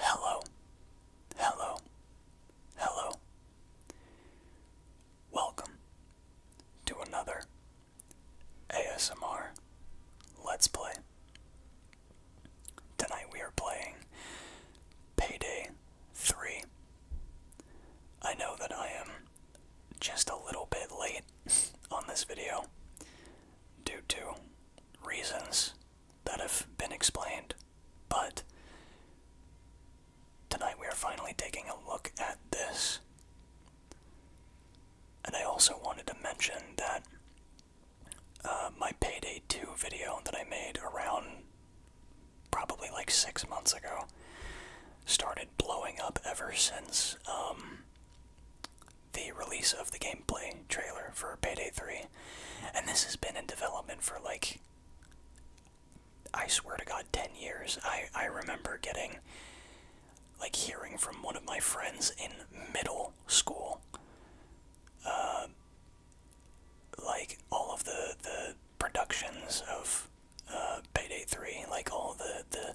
Hello, hello, hello. Welcome to another ASMR Let's Play. Tonight we are playing Payday 3. I know that I am just a little bit late on this video due to reasons that have been explained, but tonight we are finally taking a look at this. And I also wanted to mention that uh, my Payday 2 video that I made around probably like six months ago started blowing up ever since um, the release of the gameplay trailer for Payday 3. And this has been in development for like, I swear to God, 10 years. I, I remember getting, like, hearing from one of my friends in middle school. Uh, like all of the the productions of uh, Payday 3, like all the the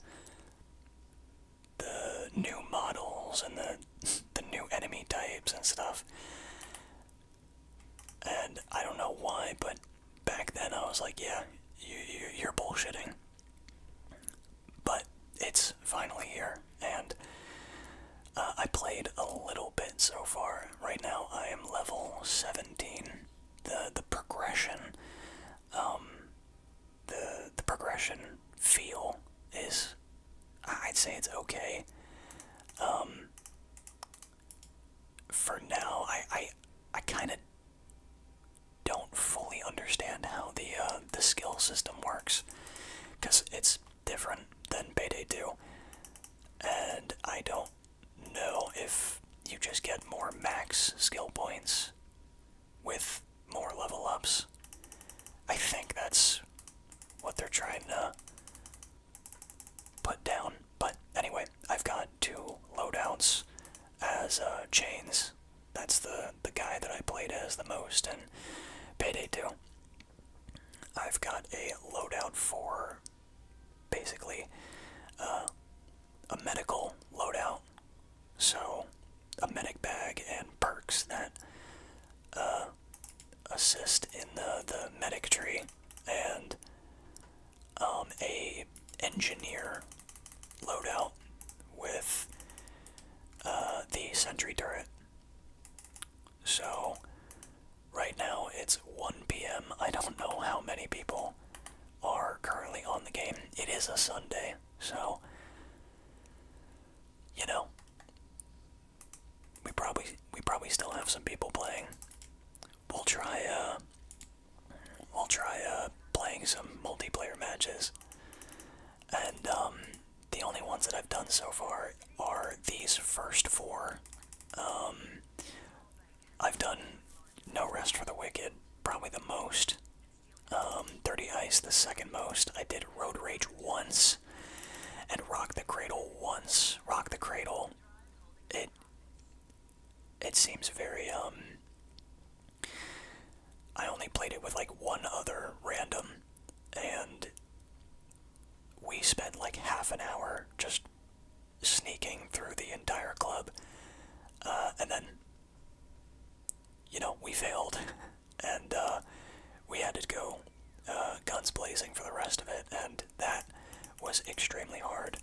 the new models and the the new enemy types and stuff. And I don't know why, but back then I was like, yeah, you, you you're bullshitting. But it's finally here, and uh, I played a little bit so far. Right now, I am level 17. The the progression um, the the progression feel is I'd say it's okay. Um, for now, I I, I kind of don't fully understand how the uh, the skill system works because it's different than Payday 2, and I don't know if you just get more max skill points with more level ups. I think that's what they're trying to put down. But anyway, I've got two loadouts as uh, chains. That's the the guy that I played as the most and Payday 2. I've got a loadout for basically uh, a medical loadout, so a medic bag and perks that uh, assist in the the medic tree, and um, a engineer loadout with uh, the sentry turret. So right now it's 1 p.m. I don't know how many people are currently on the game. It is a Sunday, so you know we probably we probably still have some people playing. We'll try uh we'll try uh playing some multiplayer matches. And um the only ones that I've done so far are these first four. Um I've done no Rest for the Wicked, probably the most. Um, Dirty Ice, the second most. I did Road Rage once, and Rock the Cradle once. Rock the Cradle, it it seems very um. I only played it with like one other random, and we spent like half an hour just sneaking through the entire club, uh, and then you know, we failed, and uh, we had to go uh, guns blazing for the rest of it, and that was extremely hard.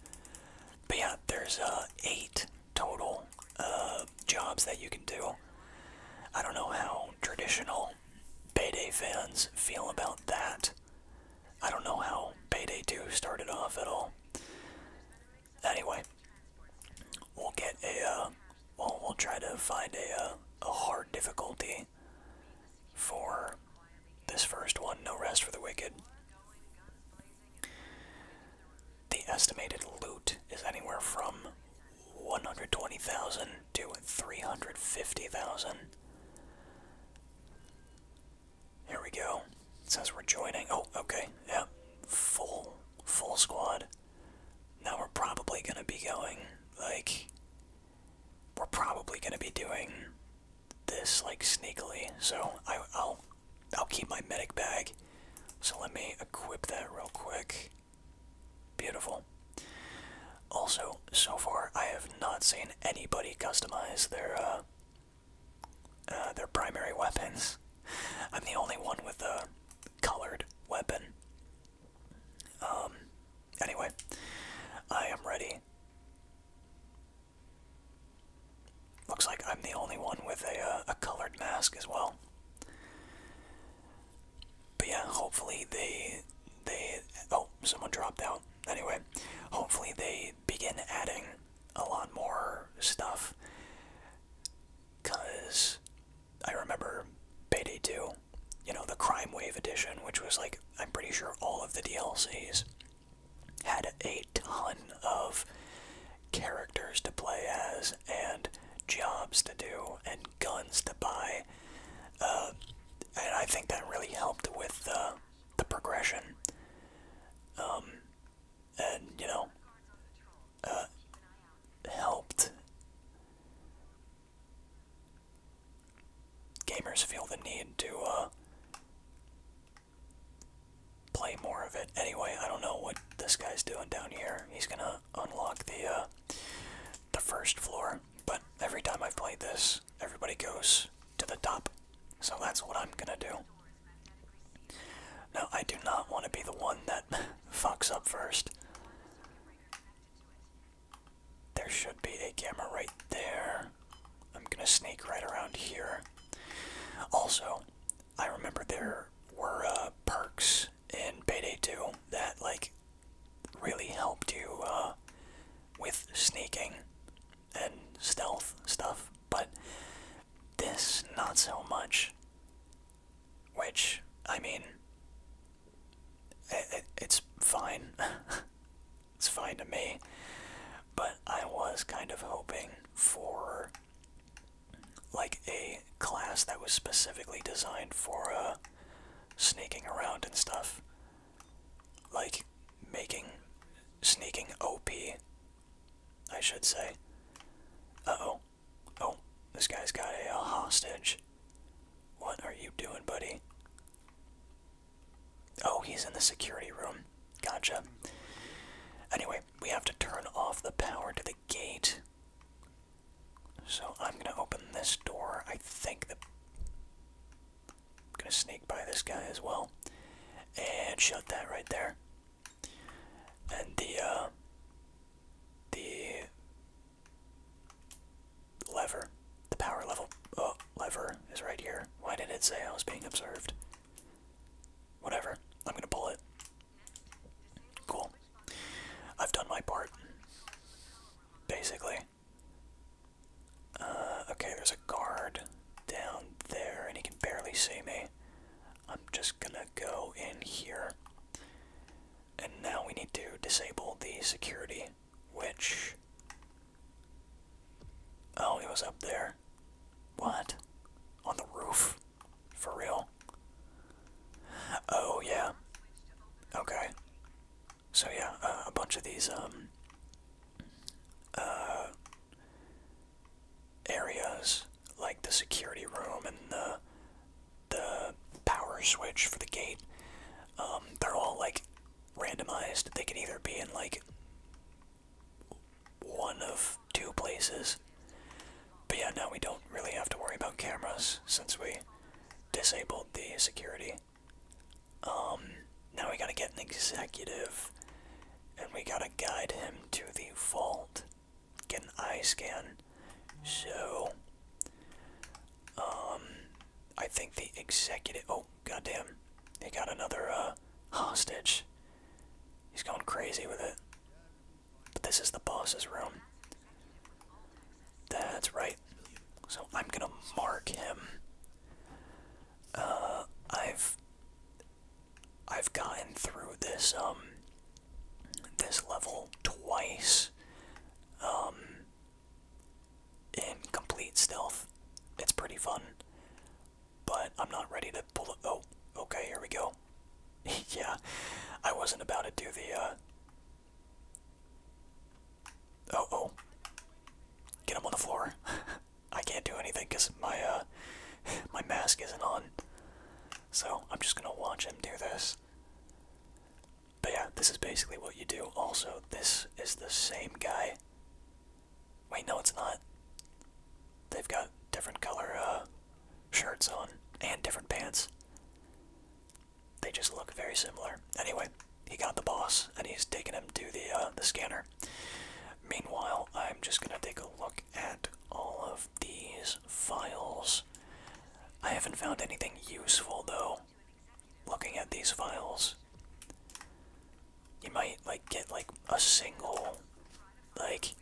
But yeah, there's uh, eight total jobs that you can do. I don't know how traditional Payday fans feel about that. I don't know how Payday 2 started off at all. Anyway, we'll get a, uh, well, we'll try to find a, uh, a hard difficulty for this first one, No Rest for the Wicked. The estimated loot is anywhere from 120,000 to 350,000. Here we go says we're joining. Oh, okay. Yep. Full, full squad. Now we're probably gonna be going, like, we're probably gonna be doing this, like, sneakily. So I'll, I'll keep my medic bag. So let me equip that real quick. Beautiful. Also, so far I have not seen anybody customize their, uh, uh, their primary weapons. I'm the only one with a colored weapon. Um, anyway, I am ready. Looks like I'm the only one with a, uh, a colored mask as well. But yeah, hopefully they, they, oh, someone dropped out. Anyway, hopefully they begin adding a lot more stuff because I remember Payday 2, you know, the Crime Wave edition, which was like, I'm pretty sure all of the DLCs had a ton of characters to play as and jobs to do and guns to buy. Uh, and I think that really helped with the, uh, the progression. Um, and you know uh, helped gamers feel the need to uh, play more of it. Anyway, I don't know what this guy's doing down here. He's gonna unlock the uh, the first floor, but every time I've played this, everybody goes to the top. So that's what I'm gonna do. No, I do not want to be the one that fucks up first. There should be a camera right there. I'm gonna sneak right around here. Also, I remember there were uh, perks in Payday 2 that like really helped you uh, with sneaking and stealth stuff but this, not so much. Which, I mean, it, it's fine. it's fine to me. But I was kind of hoping for like a class that was specifically designed for uh, sneaking around and stuff. Like making sneaking OP I should say. Uh-oh. Oh, this guy's got a, uh, hostage. What are you doing, buddy? Oh, he's in the security room. Gotcha. Anyway, we have to turn off the power to the gate. So I'm going to open this door. I think the... I'm going to sneak by this guy as well. And shut that right there and the uh, the lever, the power level oh, lever is right here. Why did it say I was being observed? Whatever, I'm gonna pull it. Cool. I've done my part, basically. Uh, okay, there's a guard down there, and he can barely see me. I'm just gonna go in here. And now we need to disable the security, which. Oh, it was up there. What? On the roof? For real? Oh, yeah. Okay. So, yeah, uh, a bunch of these, um. Uh, areas like the security room and the the power switch for the gate. Um, they're all like randomized. They can either be in like one of two places. But yeah, now we don't really have to worry about cameras since we disabled the security. Um, now we gotta get an executive and we gotta guide him to the vault get an eye scan. So, um, I think the executive. Oh, goddamn! They got another uh, hostage. He's going crazy with it. But this is the boss's room. That's right. So I'm gonna mark him. Uh, I've I've gotten through this um this level twice um in complete stealth. It's pretty fun. But I'm not ready to pull it oh, okay, here we go. yeah. I wasn't about to do the uh Oh oh. Get him on the floor. I can't do anything because my uh my mask isn't on. So I'm just gonna watch him do this. But yeah, this is basically what you do. Also, this is the same guy. Wait, no, it's not. They've got different color uh, shirts on and different pants. They just look very similar. Anyway, he got the boss, and he's taking him to the uh, the scanner. Meanwhile, I'm just gonna take a look at all of these files. I haven't found anything useful though. Looking at these files, you might like get like a single like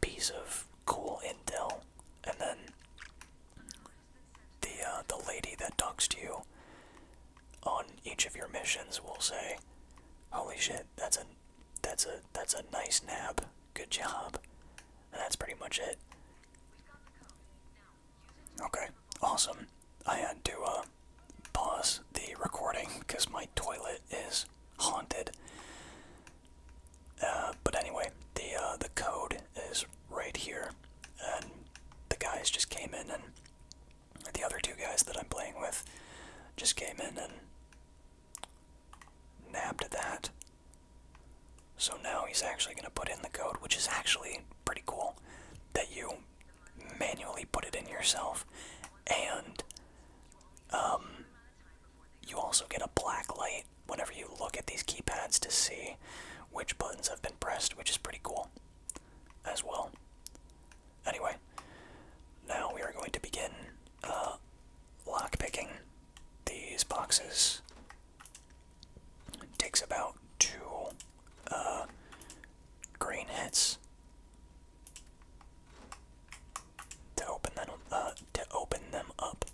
piece of cool intel, and then the uh, the lady that talks to you on each of your missions will say, "Holy shit, that's a that's a that's a nice nap. Good job. that's pretty much it. Okay, awesome. I had to uh, pause the recording because my toilet is haunted. Uh, but anyway, the uh, the code is right here, and the guys just came in, and the other two guys that I'm playing with just came in and nabbed that. So now he's actually going to put in the code, which is actually pretty cool that you manually put it in yourself. And um, you also get a black light whenever you look at these keypads to see which buttons have been pressed, which is pretty cool as well. Anyway, now we are going to begin uh, lockpicking these boxes. It takes about two uh, green hits to open them uh, to open them up.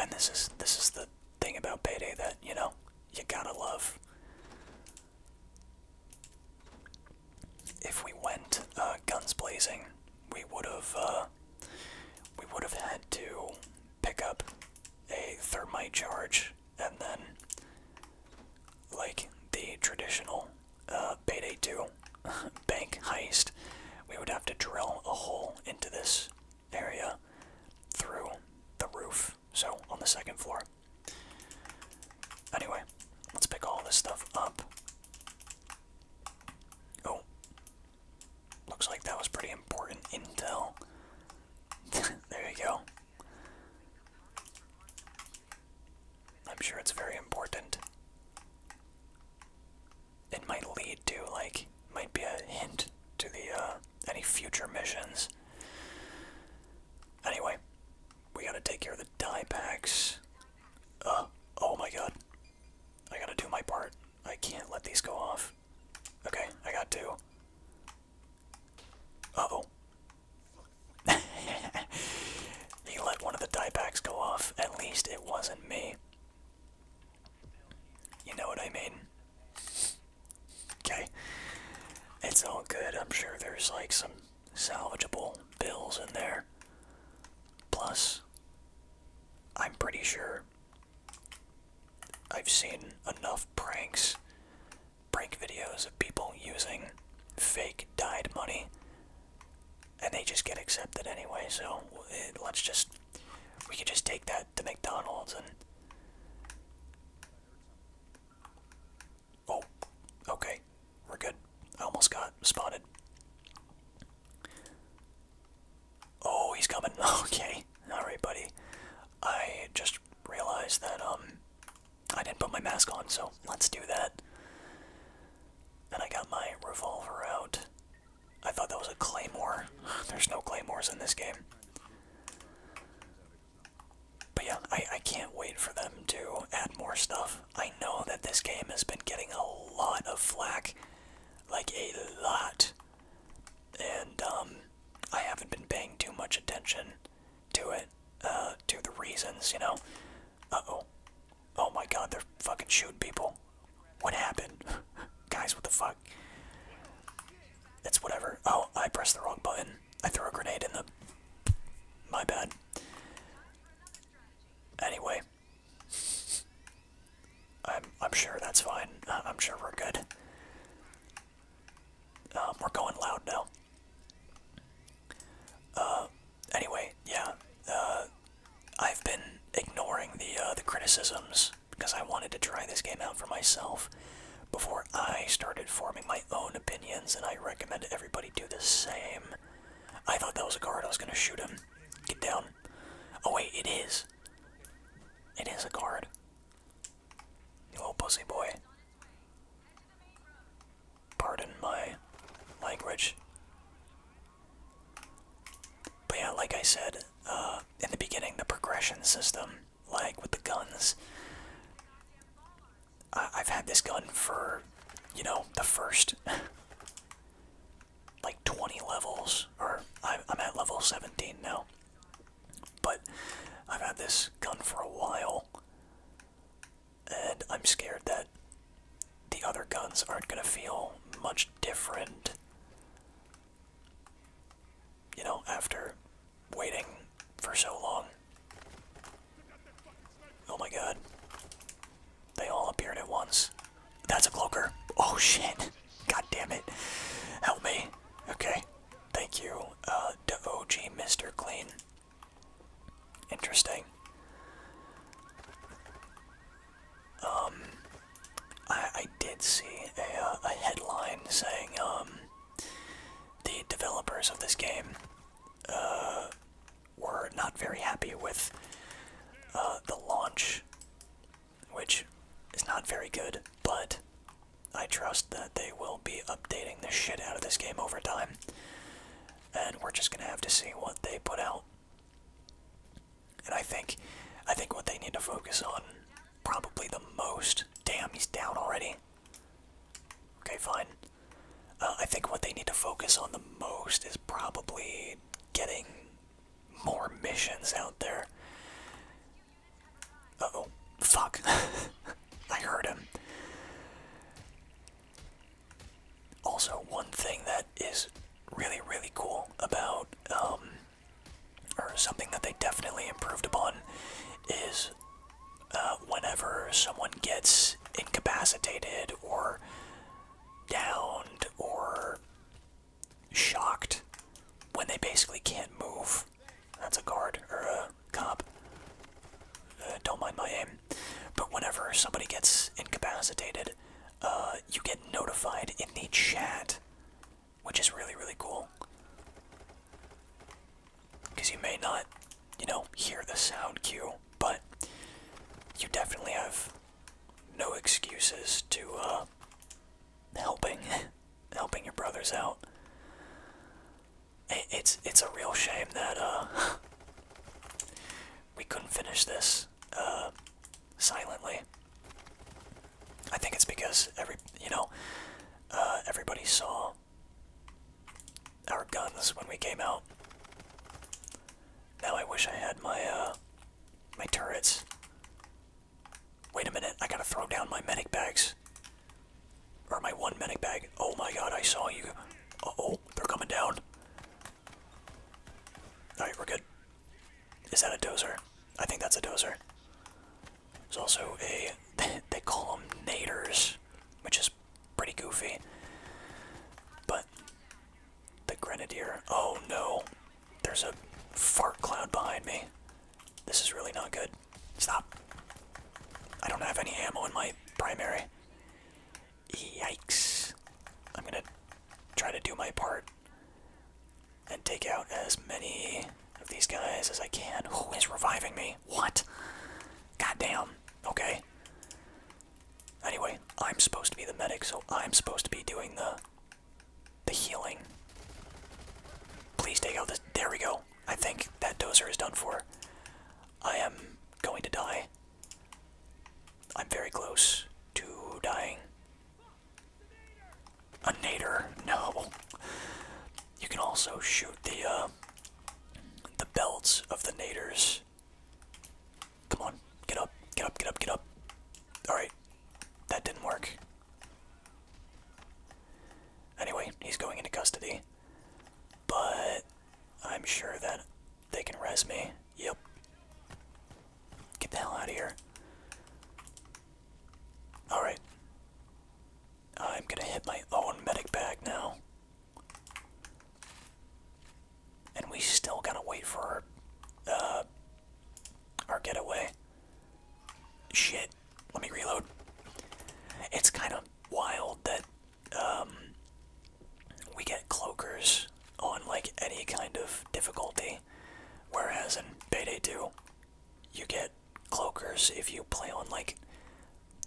And this is this is the thing about payday that you know you gotta love. If we went uh, guns blazing, we would have uh, we would have had to pick up a thermite charge and then, like the traditional uh, Payday 2 bank heist, we would have to drill a hole into this area through the roof so on the second floor. Anyway, let's pick all this stuff up. Oh, looks like that was pretty important intel. there you go. I'm sure it's very important. It might lead to, like, might be a hint to the, uh, any future missions. Anyway, we gotta take care of the die packs. Uh, oh my god. I gotta do my part. I can't let these go off. Okay, I got two. Uh-oh. he let one of the die packs go off. At least it wasn't me. You know what I mean? Okay. It's all good. I'm sure there's like some salvageable bills in there. Plus, I'm pretty sure I've seen enough pranks, prank videos of people using fake dyed money, and they just get accepted anyway. So eh, let's just, we could just take that to McDonald's and Oh, okay. We're good. I almost got spotted. Oh, he's coming. Okay. Alright, buddy. I just realized that, um, I didn't put my mask on, so let's do that. And I got my revolver out. I thought that was a claymore. There's no claymores in this game. But yeah, I, I can't wait for them to add more stuff. I know that this game has been getting a lot of flack. Like, a lot. And, um, I haven't been paying too much attention to it, uh, to the reasons, you know? Uh-oh. Oh my god, they're fucking shooting people. What happened? Guys, what the fuck? It's whatever. Oh, I pressed the wrong button. I throw a grenade in the. My bad. Anyway, I'm I'm sure that's fine. Uh, I'm sure we're good. Uh, we're going loud now. Uh, anyway, yeah. I've been ignoring the the criticisms because I wanted to try this game out for myself before I started forming my own opinions, and I recommend everybody do the same. I thought that was a guard. I was going to shoot him. Get down. Oh, wait, it is. It is a guard. You little pussy boy. Pardon my language. But yeah, like I said uh, in the beginning, the progression system, like with the guns, I have had this gun for, you know, the first like 20 levels, or I'm at level 17 now. But I've had this gun for a while, and I'm scared that the other guns aren't going to feel much different. You know, after waiting for so long. Oh my god. They all appeared at once. That's a cloaker. Oh shit. God damn it. Help me. Okay. Thank you, uh, to OG Mr. Clean. Interesting. Um, I, I did see a, uh, a headline saying, um, the developers of this game uh, were not very happy with uh, the launch, which is not very good, but I trust that they will be updating the shit out of this game over time. And we're just gonna have to see what they put out. And I think I think what they need to focus on probably the most damn he's down already. Okay, fine. Uh, I think what they need to focus on the most is probably getting more missions out there. oh, fuck. I heard him. Also, one thing that is really, really cool about, um, or something that they definitely improved upon, is uh, whenever someone gets incapacitated or downed or shocked when they basically can't move. That's a guard or a cop. Uh, don't mind my aim. But whenever somebody gets incapacitated, uh, you get notified in the chat, which is really, really cool because you may not, you know, hear the sound cue, but you definitely have no excuses to uh, helping helping your brothers out. it's it's a real shame that uh, we couldn't finish this uh, silently. I think it's because every you know everybody saw our guns when we came out. Now I wish I had my uh my turrets. Wait a minute, I gotta throw down my medic bags. Or my one medic bag. Oh my god, I saw you. Uh oh, they're coming down. Alright, we're good. Is that a dozer? I think that's a dozer. There's also a. They call them naders, which is pretty goofy. But the grenadier. Oh no. There's a fart cloud behind me. This is really not good. Stop. I don't have any ammo in my primary. Yikes. I'm gonna try to do my part and take out as many of these guys as I can. Who is reviving me? What? Goddamn. Okay. Anyway, I'm supposed to be the medic, so I'm supposed to be doing the the healing. Please take out this. There we go. I think that dozer is done for. I am going to die. I'm very close to dying. A nader. No. You can also shoot the uh, the belts of the naders. Come on, get up, get up, get up, get up. Alright, that didn't work. Anyway, he's going into custody. But I'm sure that they can res me. Yep. Get the hell out of here. Alright. I'm gonna hit my own medic bag now. And we still gotta wait for our, uh, our getaway. Shit. Let me reload. It's kind of wild that um, we get cloakers on like any kind of difficulty, whereas in Payday 2, you get cloakers if you play on like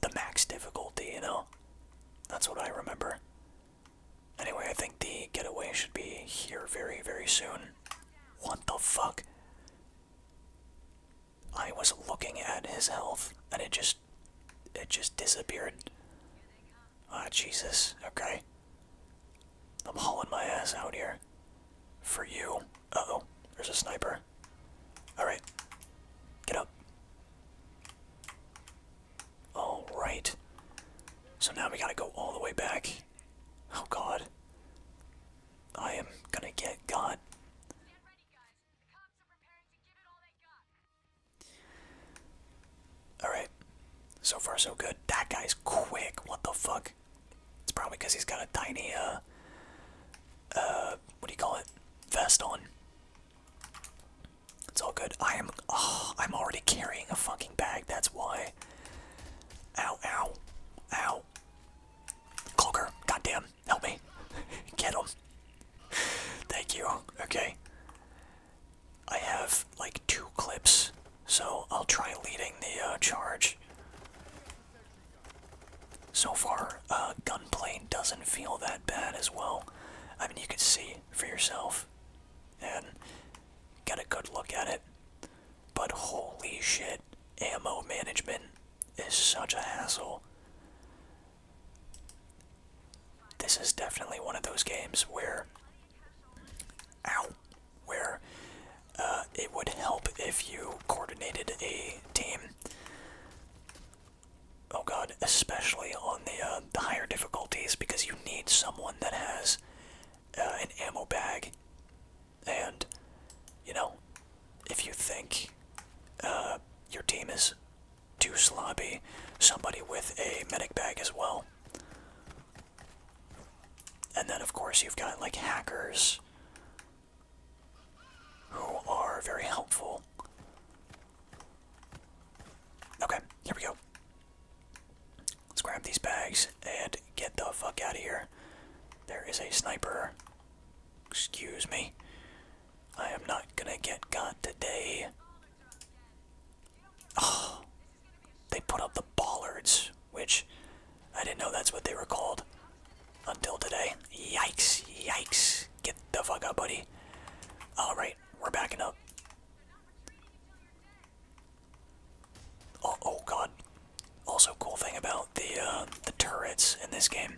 the max difficulty, you know? That's what I remember. Anyway, I think the getaway should be here very, very soon. What the fuck? I was looking at his health and it just it just disappeared. Ah, Jesus. Okay. I'm hauling my ass out here. For you. Uh oh. There's a sniper. Alright. Get up. Alright. So now we gotta go all the way back. Oh god. I am gonna get god. Alright. So far so good. That guy's quick. What the fuck? It's probably because he's got a tiny, uh, uh, what do you call it? vest on. It's all good. I am. Oh, I'm already carrying a fucking bag. That's why. Ow! Ow! Ow! Cloaker, goddamn, help me. Get him. Thank you. Okay. I have like two clips, so I'll try leading the uh, charge. So far, uh, gunplay doesn't feel that bad as well. I mean, you could see for yourself and get a good look at it. But holy shit, ammo management is such a hassle. This is definitely one of those games where, ow, where uh, it would help if you coordinated a team oh god, especially on the, uh, the higher difficulties because you need someone that has uh, an ammo bag. And, you know, if you think uh, your team is too sloppy, somebody with a medic bag as well. And then, of course, you've got like hackers who are very helpful. Okay, here we go. Let's grab these bags and get the fuck out of here. There is a sniper. Excuse me. I am not gonna get got today. Oh, they put up the bollards, which I didn't know that's what they were called until today. Yikes, yikes. Get the fuck up, buddy. Alright, we're backing up. Oh, oh god. Also, cool thing about the uh, the turrets in this game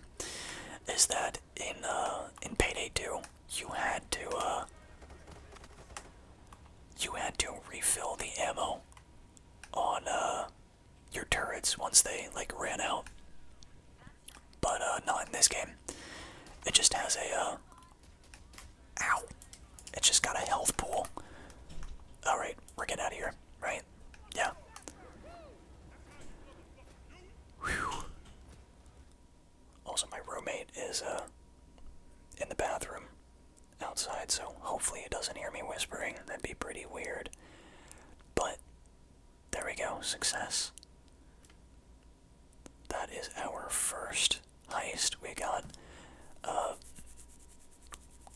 is that in uh, in Payday 2, you had to uh, you had to refill the ammo on your turrets once they like ran out but uh, not in this game. It just has a, uh, ow, it's just got a health pool. Alright, we're getting out of here, right? Yeah. Whew. Also, my roommate is, uh, in the bathroom outside, so hopefully he doesn't hear me whispering. That'd be pretty weird. But there we go, success. That is our first heist. We got a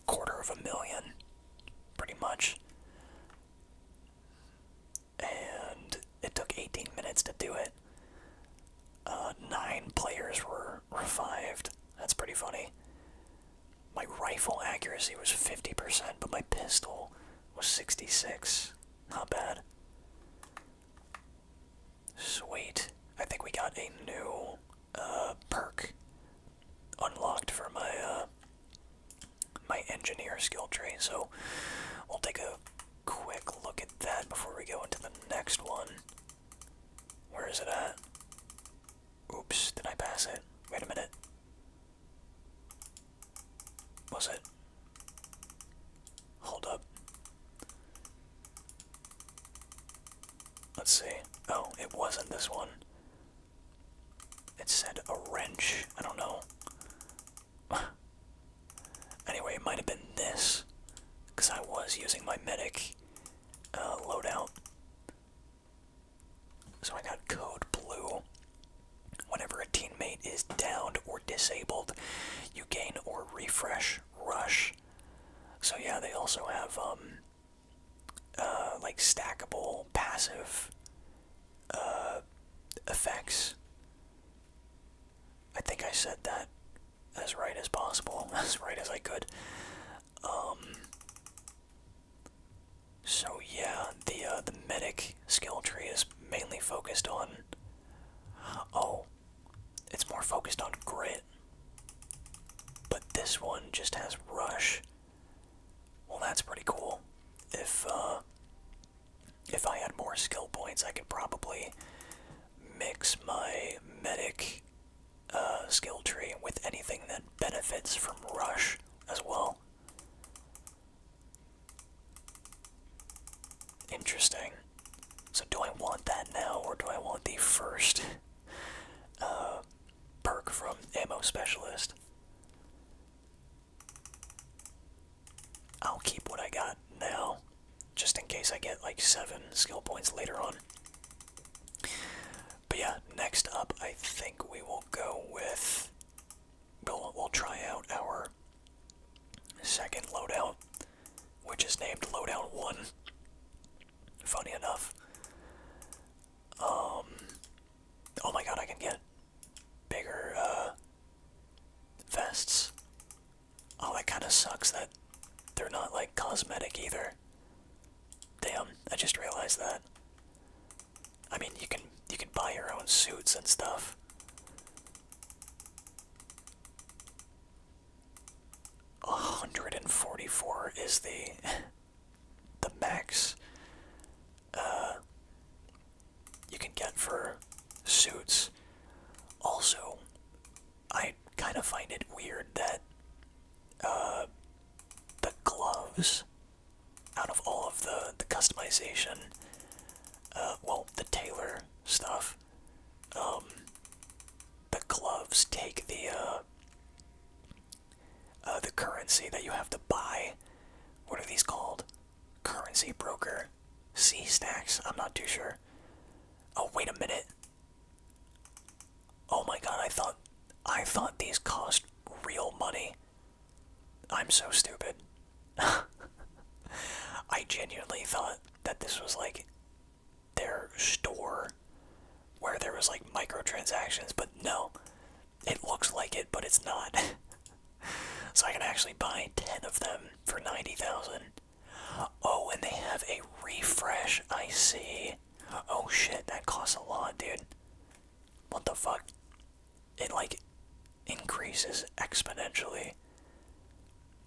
quarter of a million, pretty much. And it took 18 minutes to do it. Uh, nine players were revived. That's pretty funny. My rifle accuracy was 50%, but my pistol was 66. Not bad. Sweet. I think we got a new uh, perk unlocked for my uh, my engineer skill tree. So we'll take a quick look at that before we go into the next one. Where is it at? Oops, did I pass it? Wait a minute. Was it? Hold up. Let's see. Oh, it wasn't this one. It said a wrench. I don't know. anyway, it might have been this. Because I was using my medic uh, loadout. So I got code blue. Whenever a teammate is downed or disabled, you gain or refresh rush. So yeah, they also have um uh like stackable passive uh effects. I think I said that as right as possible, as right as I could. Um, so yeah, the uh, the medic skill tree is mainly focused on. Oh, it's more focused on grit. But this one just has rush. Well, that's pretty cool. If uh, if I had more skill points, I could probably mix my medic uh, skill tree with anything that benefits from rush as well. Interesting. So do I want that now, or do I want the first uh, perk from Ammo Specialist? I'll keep what I got now, just in case I get like seven skill points later on. But yeah, next up I think we will go with we'll, try out our second loadout, which is named Loadout 1. Funny enough. Um, oh my god, I can get bigger uh, vests. Oh, that kind of sucks that they're not like cosmetic either. Damn, I just realized that. I mean, you can you can buy your own suits and stuff. A hundred and forty-four is the the max uh, you can get for suits. Also, I kind of find it weird that uh, the gloves out of all of the the customization, uh, well, the tailor stuff, um, the gloves take the uh, uh, the currency that you have to buy. What are these called? Currency broker, C stacks. I'm not too sure. Oh wait a minute. Oh my god, I thought I thought these cost real money. I'm so stupid. I genuinely thought that this was like their store where there was like microtransactions, but no. It looks like it, but it's not. so I can actually buy 10 of them for 90,000. Oh, and they have a refresh, I see. Oh shit, that costs a lot, dude. What the fuck? it like increases exponentially.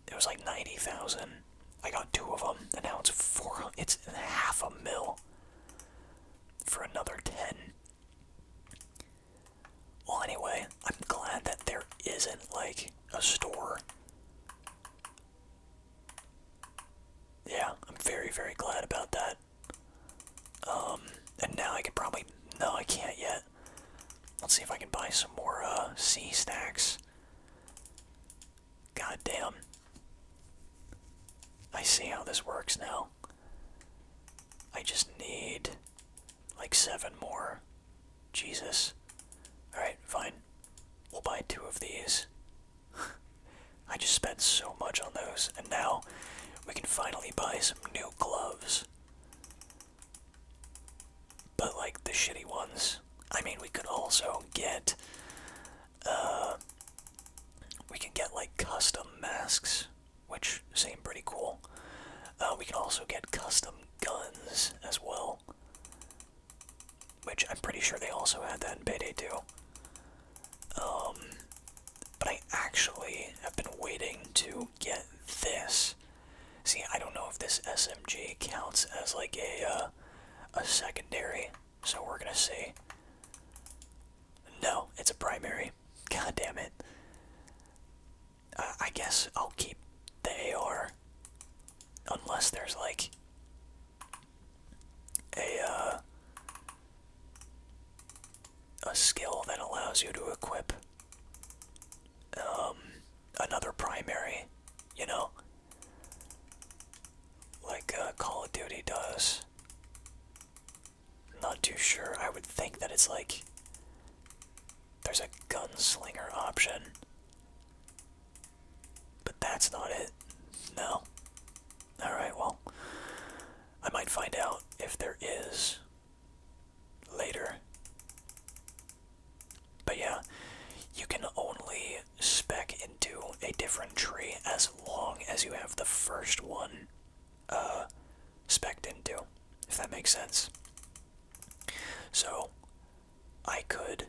It was like ninety thousand. I got two of them, and now it's four. It's half a mil for another ten. Well, anyway, I'm glad that there isn't like a store. Yeah, I'm very, very glad about that. Um, and now I could probably no, I can't yet. Let's see if I can buy some more uh C stacks. God damn. I see how this works now. I just need like seven more. Jesus. Alright, fine. We'll buy two of these. I just spent so much on those, and now we can finally buy some new gloves. But like the shitty ones. I mean, we could also get. Uh, we can get like custom masks, which seem pretty cool. Uh, we can also get custom guns as well. Which I'm pretty sure they also had that in Payday too. Um, but I actually have been waiting to get this. See, I don't know if this SMG counts as like a uh, a secondary, so we're gonna see. No, it's a primary. God damn it. I guess I'll keep the AR, unless there's like a uh, a skill that allows you to equip um, another primary, you know? Like uh, Call of Duty does. Not too sure. I would think that it's like there's a gunslinger option. But that's not it. No. Alright, well, I might find out if there is later. But yeah, you can only spec into a different tree as long as you have the first one uh, specced into, if that makes sense. So, I could,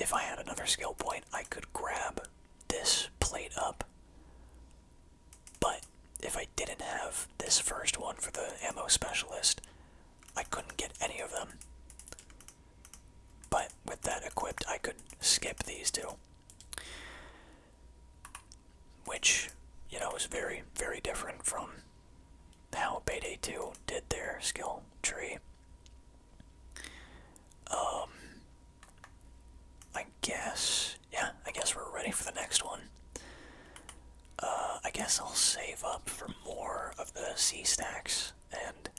if I had another skill point, I could grab this plate up, but if I didn't have this first one for the ammo specialist, I couldn't get any of them. But with that equipped, I could skip these two. Which, you know, is very, very different from how Payday 2 did their skill tree. Um, I guess, yeah, I guess we're ready for the next one. Uh, I guess I'll save up for more of the sea stacks, and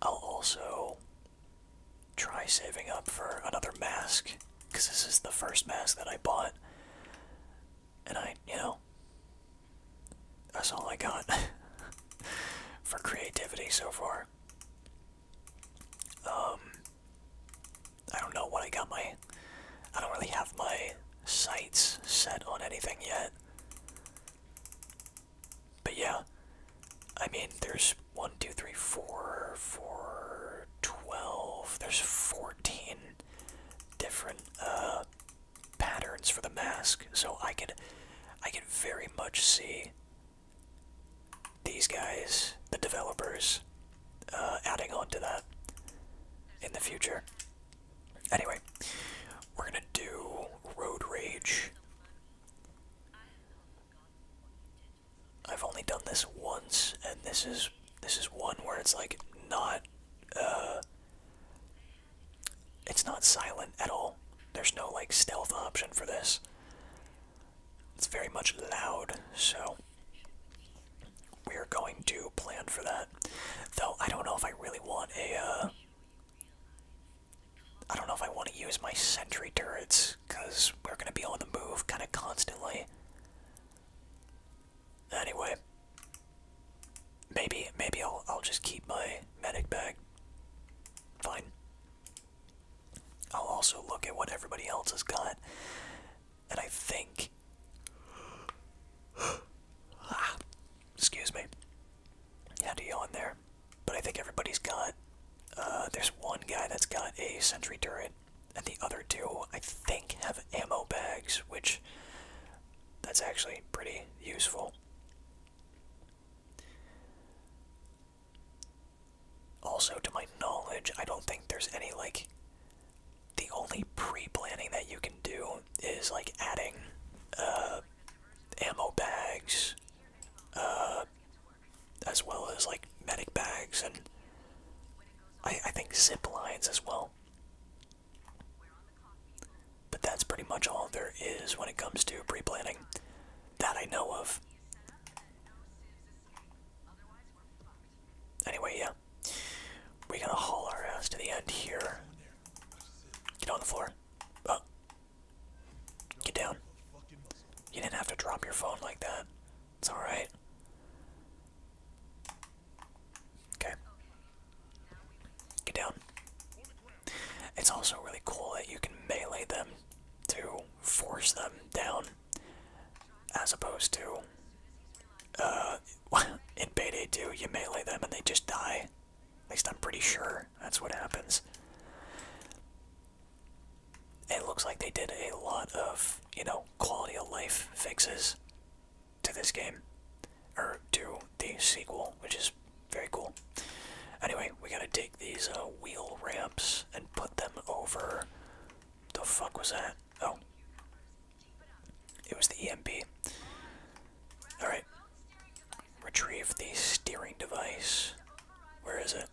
I'll also try saving up for another mask, because this is the first mask that I bought, and I, you know, that's all I got for creativity so far. Um, I don't know what I got my. I don't really have my sights set on anything yet. But yeah, I mean, there's 1, 2, 3, 4, 4, 12, there's 14 different uh, patterns for the mask, so I could, I could very much see these guys, the developers, uh, adding on to that in the future. Anyway, we're gonna do Road Rage. I've only done this once, and this is this is one where it's like not uh, it's not silent at all. There's no like stealth option for this. It's very much loud, so we're going to plan for that. Though I don't know if I really want a. Uh, don't know if I want to use my sentry turrets because we're going to be on the move kind of constantly. Anyway, maybe maybe I'll I'll just keep my medic bag. Fine. I'll also look at what everybody else has got. And I think. excuse me. Had to yawn there. But I think everybody's got. Uh, there's one guy that's got a sentry turret, and the other two, I think, have ammo bags, which. That's actually pretty useful. Also, to my knowledge, I don't think there's any, like, the only pre-planning that you can do is, like, adding, uh, ammo bags, uh, as well as, like, medic bags, and I, I think zip lines as well. But that's pretty much all there is when it comes to pre-planning that I know of. Anyway, yeah. We're gonna haul our ass to the end here. Get on the floor. Uh, get down. You didn't have to drop your phone like that. It's alright. Okay. Get down. It's also really cool that you can melee them to force them down as opposed to uh, in Payday 2, you melee them and they just die. At least I'm pretty sure that's what happens. It looks like they did a lot of, you know, quality of life fixes to this game. Or to the sequel, which is very cool. Anyway, we gotta take these uh, wheel ramps and put them over the fuck was that? Oh. It was the EMP. Alright. Retrieve the steering device. Where is it?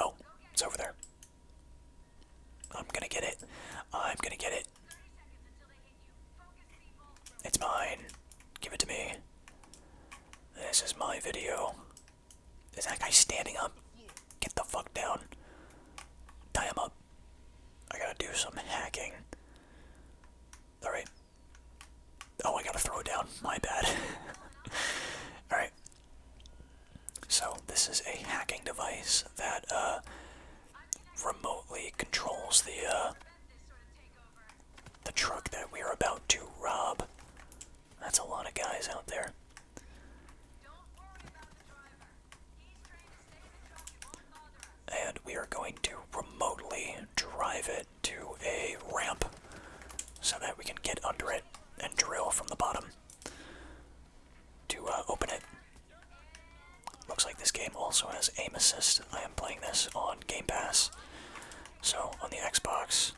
Oh, it's over there. I'm gonna get it. I'm gonna get it. It's mine. Give it to me. This is my video. Is that guy standing up? Get the fuck down. Tie him up. I gotta do some hacking. Alright. Oh, I gotta throw it down. My bad. Alright. So, this is a hacking device that, uh, remotely controls the, uh, the truck that we are about to rob. That's a lot of guys out there. And we are going to remotely drive it to a ramp so that we can get under it and drill from the bottom to uh, open it. Looks like this game also has aim assist. I am playing this on Game Pass. So on the Xbox,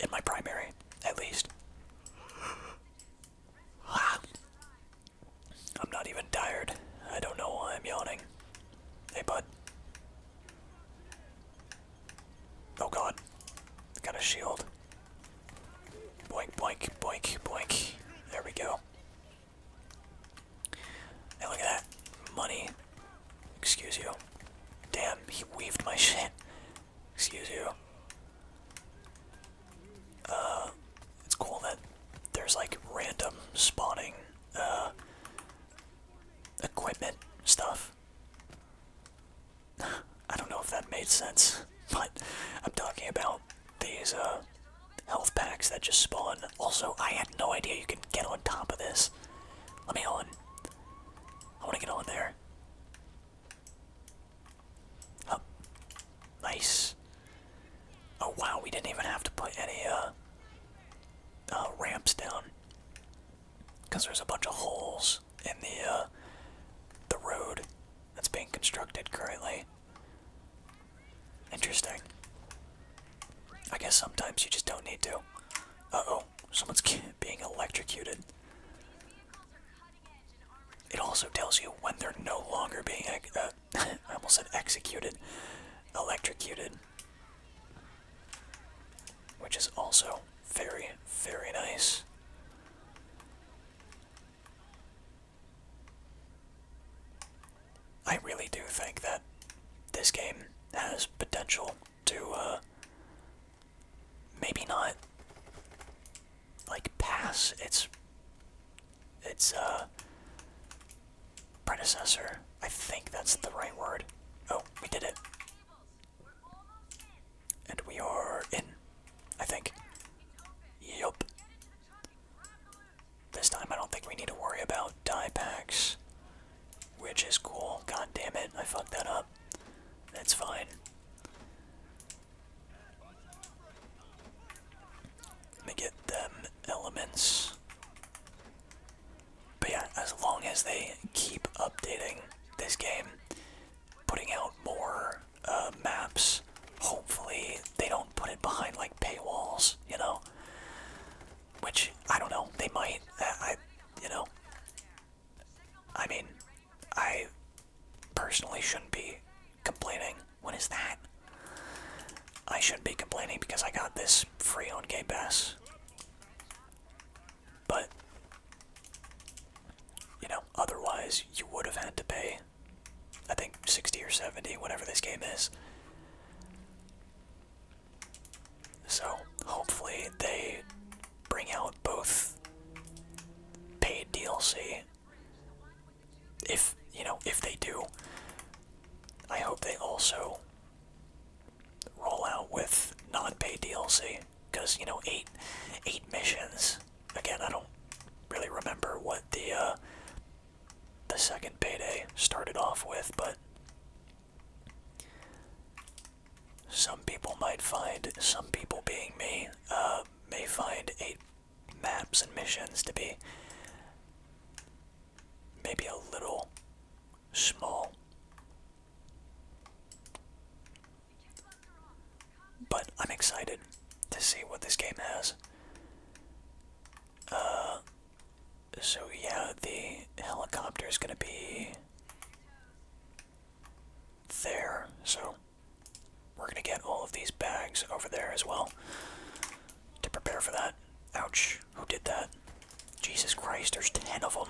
in my primary, at least. I'm not even tired. I don't know why I'm yawning. Hey, bud. Oh god. Got a shield. Boink, boink, boink, boink. There we go. Hey, look at that. Money. Excuse you. Damn, he weaved my shit. Excuse you. Uh, it's cool that there's like random spawning uh, equipment stuff. I don't know if that made sense, but I'm talking about these uh, health packs that just spawn. Also, I had no idea you can get on top of this. Let me on. I want to get on there. Up. Oh, nice. Oh wow, we didn't even have to put any uh, uh ramps down because there's a bunch of holes in the uh, the road that's being constructed currently. Interesting. I guess sometimes you just don't need to. Uh oh, someone's being electrocuted. It also tells you when they're no longer being, uh, I almost said executed, electrocuted, which is also very, very nice. I really do think that this game has potential to uh, maybe not like pass its its uh predecessor. I think that's the right word. Oh, we did it. And we are in, I think. Yup. This time I don't think we need to worry about die packs, which is cool. God damn it, I fucked that up. That's fine. Let me get them elements. But yeah, as long as they keep updating this game, putting out more uh, maps, hopefully they don't put it behind like paywalls, you know? Which, I don't know, they might. I you know, I mean, I personally shouldn't be complaining. What is that? I shouldn't be complaining because I got this free on Game Pass. But, you know, otherwise you would have had to pay, I think, 60 or 70, whatever this game is. So, hopefully they bring out both paid DLC. If you know, if they do, I hope they also roll out with non-paid DLC because you know eight eight missions. Again, I don't really remember what the uh, the second payday started off with, but some people might find, some people being me, uh, may find maps and missions to be maybe a little small. But I'm excited to see what this game has. Uh, so yeah, the helicopter is gonna be there. So we're gonna get all of these bags over there as well to prepare for that. Ouch, who did that? Jesus Christ, there's 10 of them.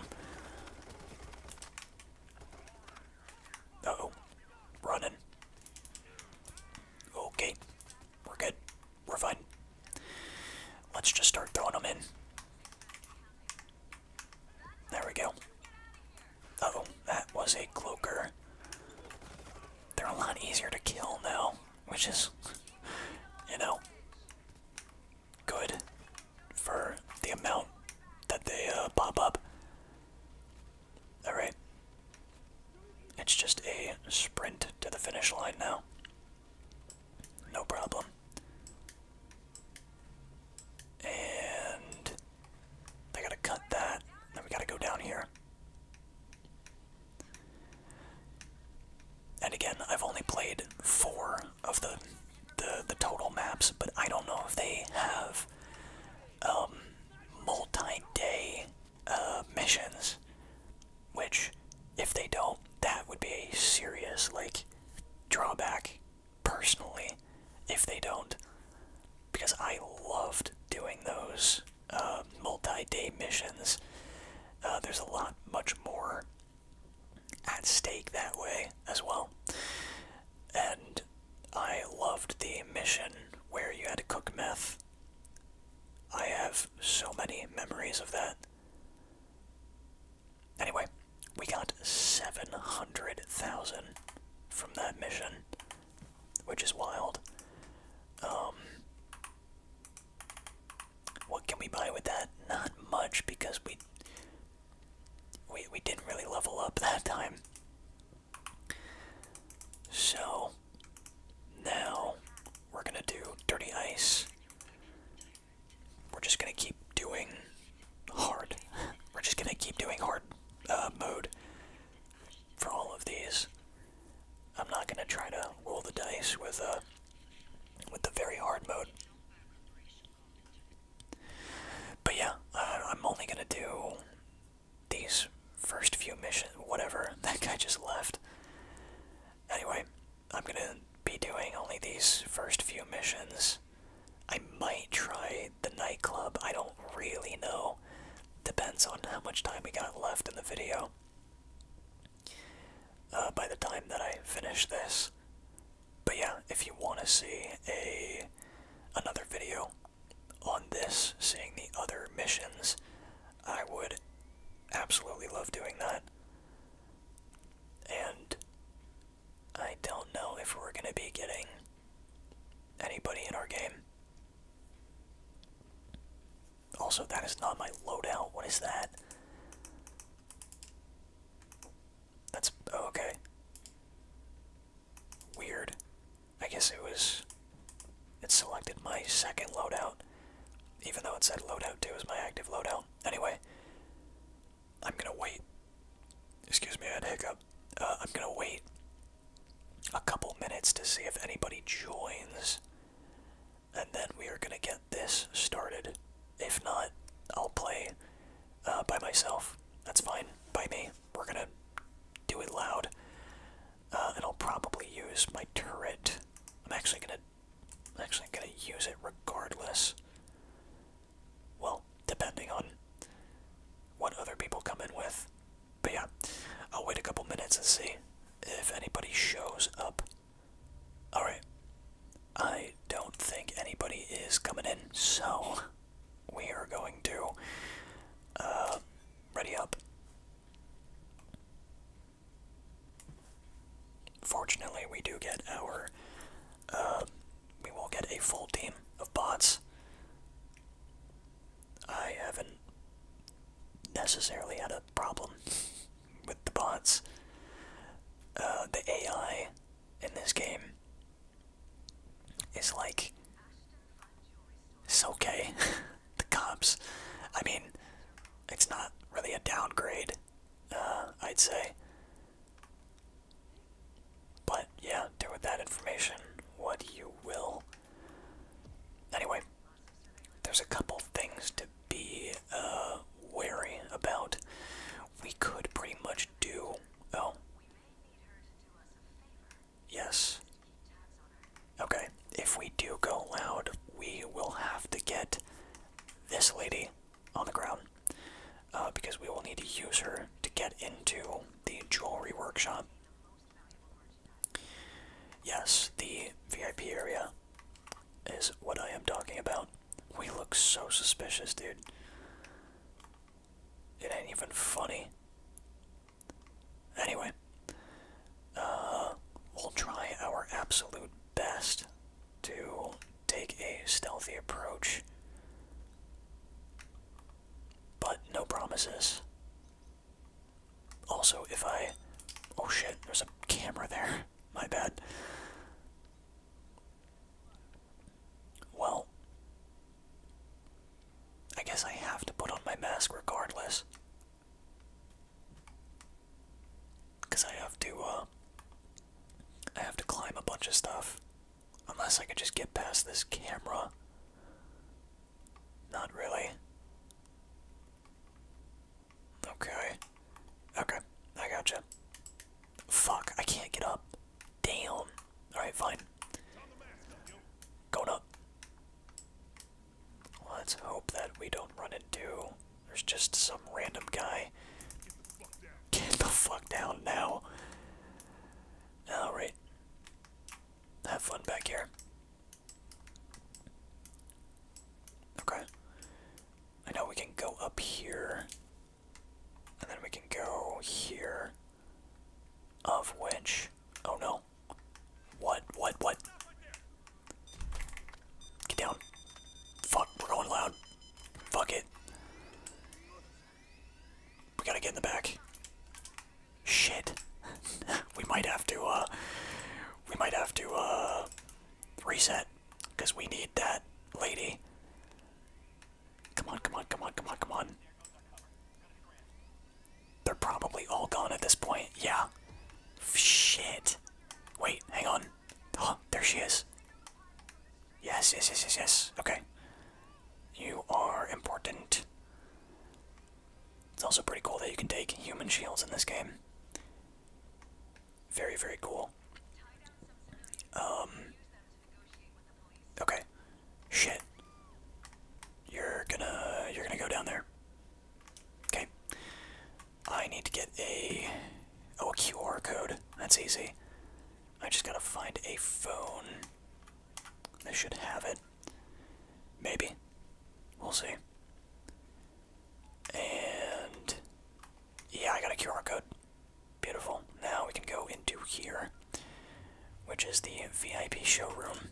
oh, running. Okay, we're good. We're fine. Let's just start throwing them in. There we go. oh, that was a cloaker. They're a lot easier to kill now, which is, you know, good for the amount that they uh, pop up. Alright. It's just a sprint to the finish line now. No problem. And they gotta cut that. Then we gotta go down here. And again, I've only played four of the the, total maps, but I don't know if they have um, multi-day uh, missions. Which, if they don't, that would be a serious like drawback personally if they don't because I loved doing those uh, multi-day missions. Uh, there's a lot much more at stake that way as well. And I loved the mission where you had to cook meth. I have so many memories of that. Anyway, we got 700,000 from that mission, which is wild. Um, what can we buy with that? Not much because we we we didn't really level up that time. So now we're gonna do dirty ice. We're just gonna keep doing hard. We're just gonna keep doing hard uh, mode for all of these. I'm not gonna try to roll the dice with uh, with the very hard mode. But yeah, I'm only gonna do these first few missions. Whatever that guy just left. Anyway, I'm gonna be doing only these first few missions I might try the nightclub. I don't really know. Depends on how much time we got left in the video. Uh, by the time that I finish this. But yeah, if you want to see a another video on this, seeing the other missions, I would absolutely love doing that. And I don't know if we're going to be getting anybody in our game. Also, that is not my loadout. What is that? That's oh, okay. Weird. I guess it was. It selected my second loadout, even though it said loadout 2 was my active loadout. Anyway, I'm gonna wait. Excuse me, I had a hiccup. Uh, I'm gonna wait a couple minutes to see if anybody joins, and then we are gonna get this started. If not, I'll play uh, by myself. That's fine by me. We're gonna do it loud, uh, and I'll probably use my turret. I'm actually gonna, I'm actually gonna use it regardless well, depending on what other people come in with. But yeah, I'll wait a couple minutes and see if anybody shows up. Alright, I don't think anybody is coming in, so we are going to uh, ready up. Fortunately, we do get our uh, we will get a full team of bots. I haven't necessarily had a problem with the bots. Uh, the AI in this game is like it's okay. the cops. I mean, it's not really a downgrade. Uh, I'd say but yeah, do with that information what you will. Anyway, there's a couple things to be uh, wary about. We could pretty much do. Oh. Yes. Okay, if we do go loud, we will have to get this lady on the ground. Uh, because we will need to use her to get into the jewelry workshop. Yes, the VIP area is what I am talking about. We look so suspicious, dude. It ain't even funny. Anyway, uh, we'll try our absolute best to take a stealthy approach. But no promises. Also, if I. Oh shit, there's a camera there. My bad. Well. I guess I have to put on my mask regardless. Because I have to, uh. I have to climb a bunch of stuff. Unless I could just get past this camera. Not really. Okay. Okay, I got you. Fuck, I can't get up. Damn. Alright, fine. Going up. Let's hope that we don't run into. There's just some random guy. Get the fuck down now. Alright. Have fun back here. Okay. I know we can go up here. And then we can go here. Of which. Oh no. What? What? What? Get down. Fuck, we're going loud. Fuck it. We gotta get in the back. Shit. we might have to, uh, we might have to, uh, reset. Because we need that lady. Come on, come on, come on, come on, come on. They're probably all gone at this point. Yeah. Shit. Wait, hang on. Oh, there she is. Yes, yes, yes, yes, yes. Okay. You are important. It's also pretty cool that you can take human shields in this game. Very, very cool. Um. Okay. Shit. You're gonna you're gonna go down there. Okay. I need to get a oh QR code. That's easy. I just gotta find a phone. They should have it. Maybe. We'll see. And yeah, I got a QR code. Beautiful. Now we can go into here, which is the VIP showroom.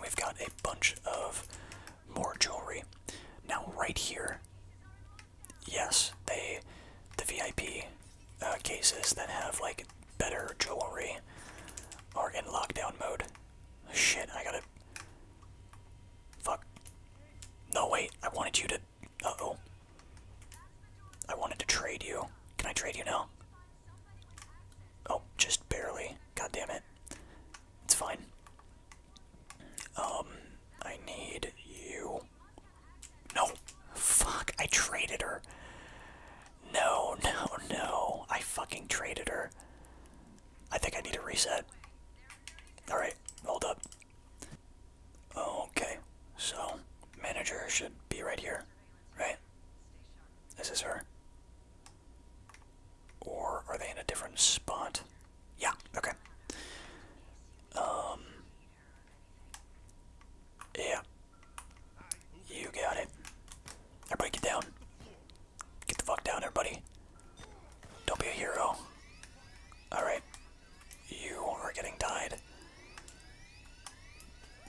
We've got a bunch of more jewelry. Now right here, yes, they the VIP uh, cases that have like better jewelry are in lockdown mode. Shit, I gotta. Fuck. No, wait, I wanted you to. Uh oh. I wanted to trade you. Can I trade you now? Oh, just barely. God damn it. It's fine. Um, I need you. No. Fuck, I traded her. No, no, no. I fucking traded her. I think I need a reset. Alright, hold up. Okay, so manager should be right here, right? This is her. Or are they in a different spot? Yeah, okay. Um, yeah. You got it. Everybody get down. Get the fuck down, everybody. Don't be a hero. Alright. You are getting tied.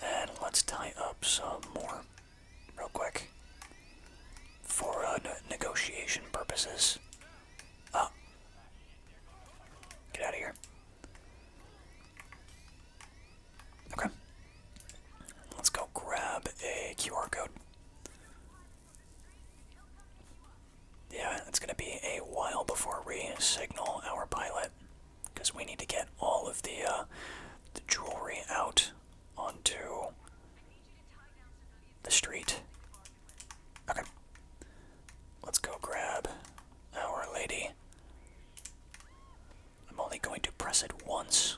And let's tie up some more real quick. For uh, negotiation purposes. Ah. Get out of here. Okay. Let's go grab a QR code. Yeah, it's going to be a while before we signal our pilot because we need to get all of uh, the, jewelry out onto the street. Okay. Let's go grab our lady. I'm only going to press it once.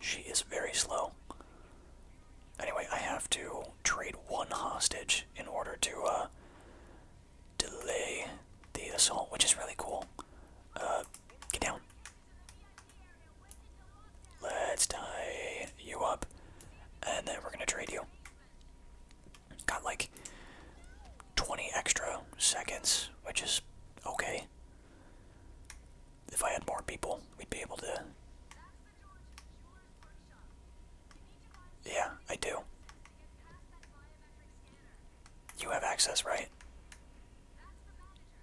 She is very slow. Anyway, I have to trade one hostage in order to uh, delay the assault, which is really cool. Uh, get down. Let's tie you up, and then we're gonna trade you. Got like 20 extra seconds, which is okay. If I had more people, we'd be able to. Yeah, I do. You have access, right?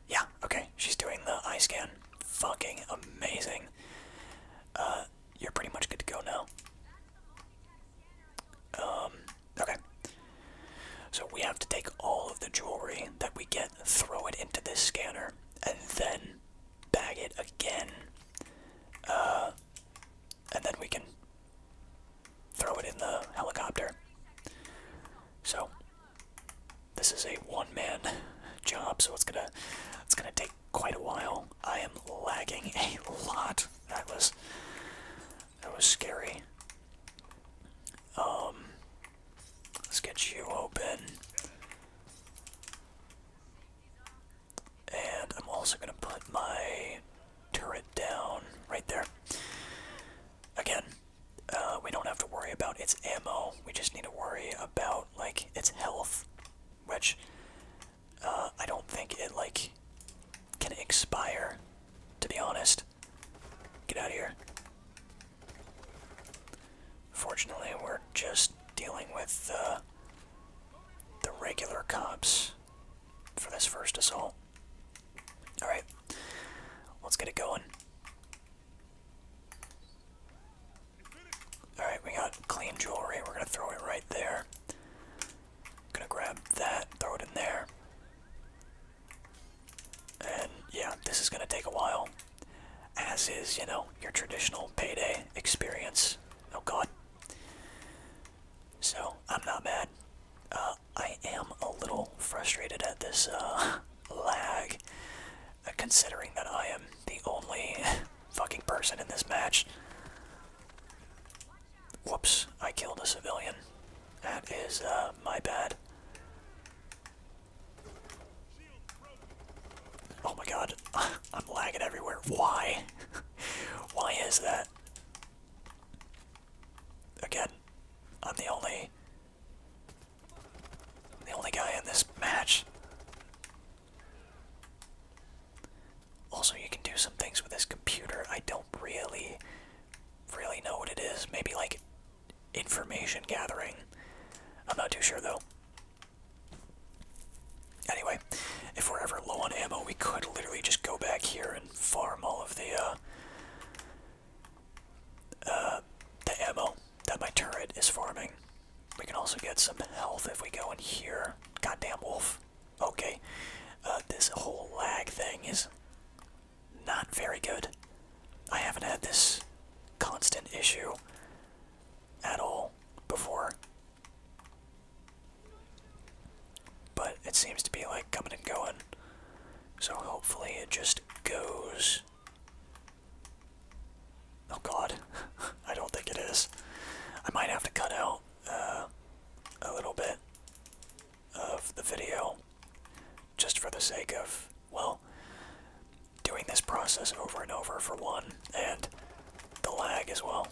Yeah, okay. She's doing the eye scan. Fucking amazing. Uh, you're pretty much good to go now. Um, okay. So we have to take all of the jewelry that we get, throw it into this scanner, and then bag it again. Uh, and then we can throw it in the helicopter. So this is a one-man job, so it's gonna it's gonna take quite a while. I am lagging a lot. That was that was scary. Um let's get you open. And I'm also gonna put my turret down right there. Again, uh, we don't have to worry about its ammo. We just need to worry about like its health, which uh, I don't think it like can expire. To be honest, get out of here. Fortunately, we're just dealing with uh, the regular cops for this first assault. All right, let's get it going. Alright, we got clean jewelry. We're going to throw it right there. Gonna grab that, throw it in there. And yeah, this is gonna take a while. As is, you know, your traditional payday experience. Oh god. So, I'm not mad. Uh, I am a little frustrated at this uh, lag, uh, considering that I am the only fucking person in this match. Whoops, I killed a civilian. That is uh, my bad. Oh my god, I'm lagging everywhere. Why? Why is that? Again, I'm the only the only guy in this match. Also, you can do some things with this computer. I don't really, really know what it is. Maybe like information gathering. I'm not too sure though. Anyway, if we're ever low on ammo, we could literally just go back here and farm all of the uh, uh the ammo that my turret is farming. We can also get some health if we go in here. Goddamn wolf. Okay, uh, this whole lag thing is not very good. I haven't had this constant issue at all before. But it seems to be like coming and going. So hopefully it just goes. Oh god, I don't think it is. I might have to cut out uh, a little bit of the video just for the sake of, well, doing this process over and over for one, and the lag as well,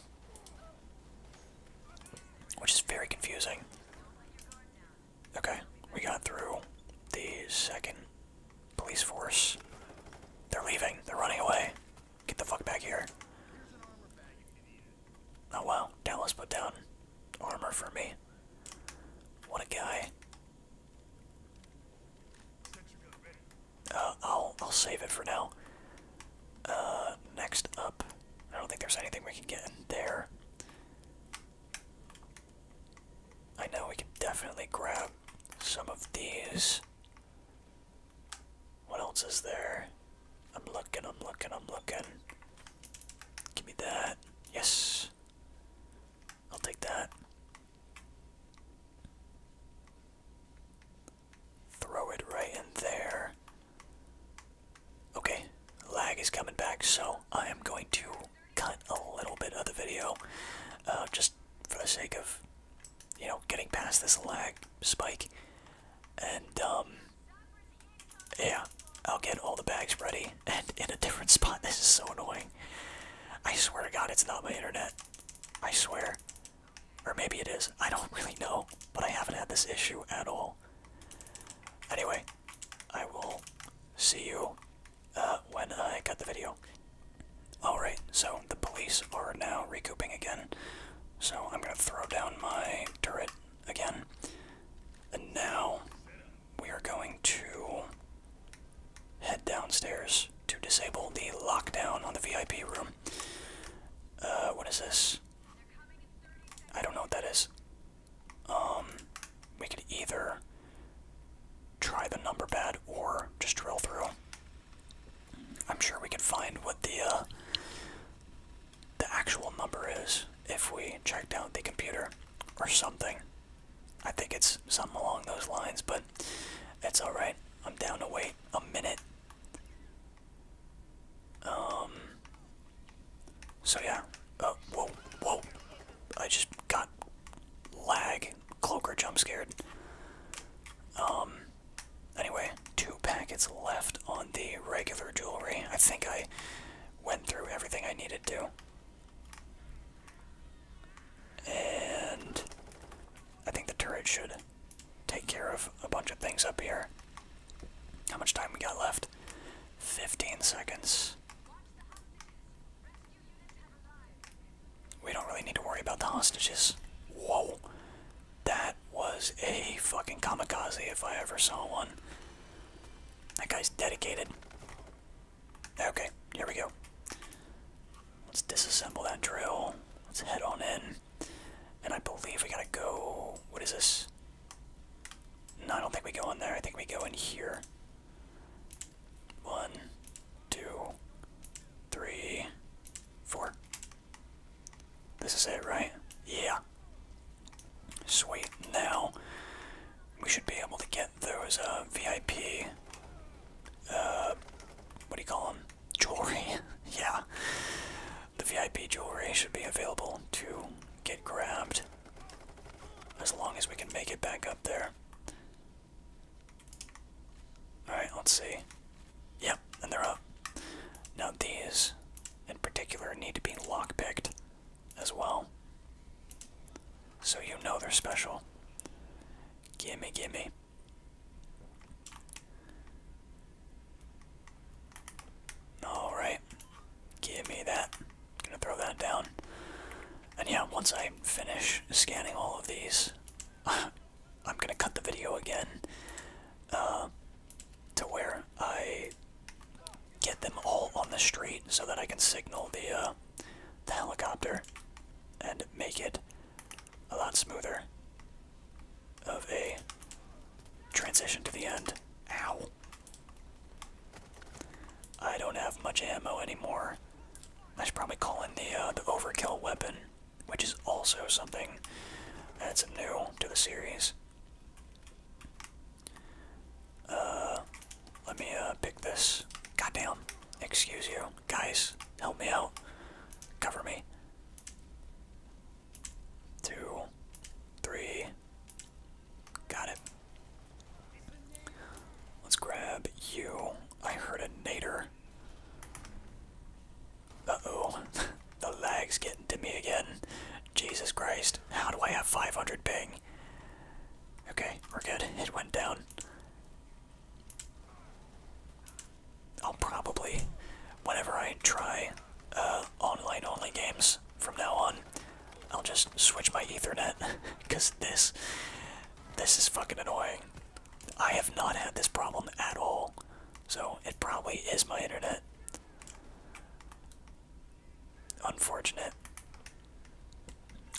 which is very confusing. Okay, we got through the second police force. They're leaving, they're running away. Get the fuck back here. Oh well, Dallas put down armor for me. What a guy. Uh, I'll I'll save it for now. Uh, next up, I don't think there's anything we can get in there. I know we can definitely grab some of these. What else is there? I'm looking, I'm looking, I'm looking. Give me that. Yes. I'll take that. Throw it right in there. Okay, lag is coming back, so I am going to cut a little bit of the video uh, just for the sake of you know, getting past this lag spike. And, um, yeah, I'll get all the bags ready and in a different spot. This is so annoying. I swear to God, it's not my internet. I swear. Or maybe it is. I don't really know, but I haven't had this issue at all. Anyway, I will see you uh, when I cut the video. Alright, so the police are now recouping again so I'm going to throw down my turret again. And now we are going to head downstairs to disable the lockdown on the VIP room. Uh, what is this? I don't know what that is. Um, we could either try the number pad or just drill through. I'm sure we could find what the uh, the actual number is if we checked out the computer or something. I think it's something along those lines, but that's all right. I'm down to wait a minute. Um. So yeah. Oh, whoa, whoa! I just got lag. Cloaker jump scared. Um. Anyway, two packets left on the regular jewelry. I think I went through everything I needed to. And I think the turret should take care of a bunch of things up here. How much time we got left? 15 seconds. We don't really need to worry about the hostages. Whoa. That was a fucking kamikaze if I ever saw one. That guy's dedicated. Okay, here we go. Let's disassemble that drill. Let's head on in. And I believe we gotta go. What is this? No, I don't think we go in there. I think we go in here. One, two, three, four. This is it, right? Yeah. Sweet. Now, we should be able to get those uh, VIP, uh, what do you call them? Jewelry. yeah. The VIP jewelry should be available to get grabbed as long as we can make it back up there. Alright, let's see. Yep, and they're up. Now these, in particular, need to be lockpicked as well. So you know they're special. Gimme, gimme. Alright. Give me that. Gonna throw that down. And yeah, once I finish scanning all of these, I'm gonna cut the video again uh, to where I get them all on the street so that I can signal the uh, the helicopter and make it a lot smoother of a transition to the end. Ow. I don't have much ammo anymore. I should probably call in the uh, the overkill weapon which is also something that's new to the series. Uh, let me uh, pick this. Goddamn! Excuse you, guys. Help me out. Cover me. Two, three. Got it. Let's grab you. I heard a nader oh. the lag's getting to me again. Jesus Christ. How do I have 500 ping? Okay, we're good. It went down. I'll probably, whenever I try uh, online only games from now on, I'll just switch my Ethernet because this, this is fucking annoying. I have not had this problem at all. So it probably is my internet. Unfortunate.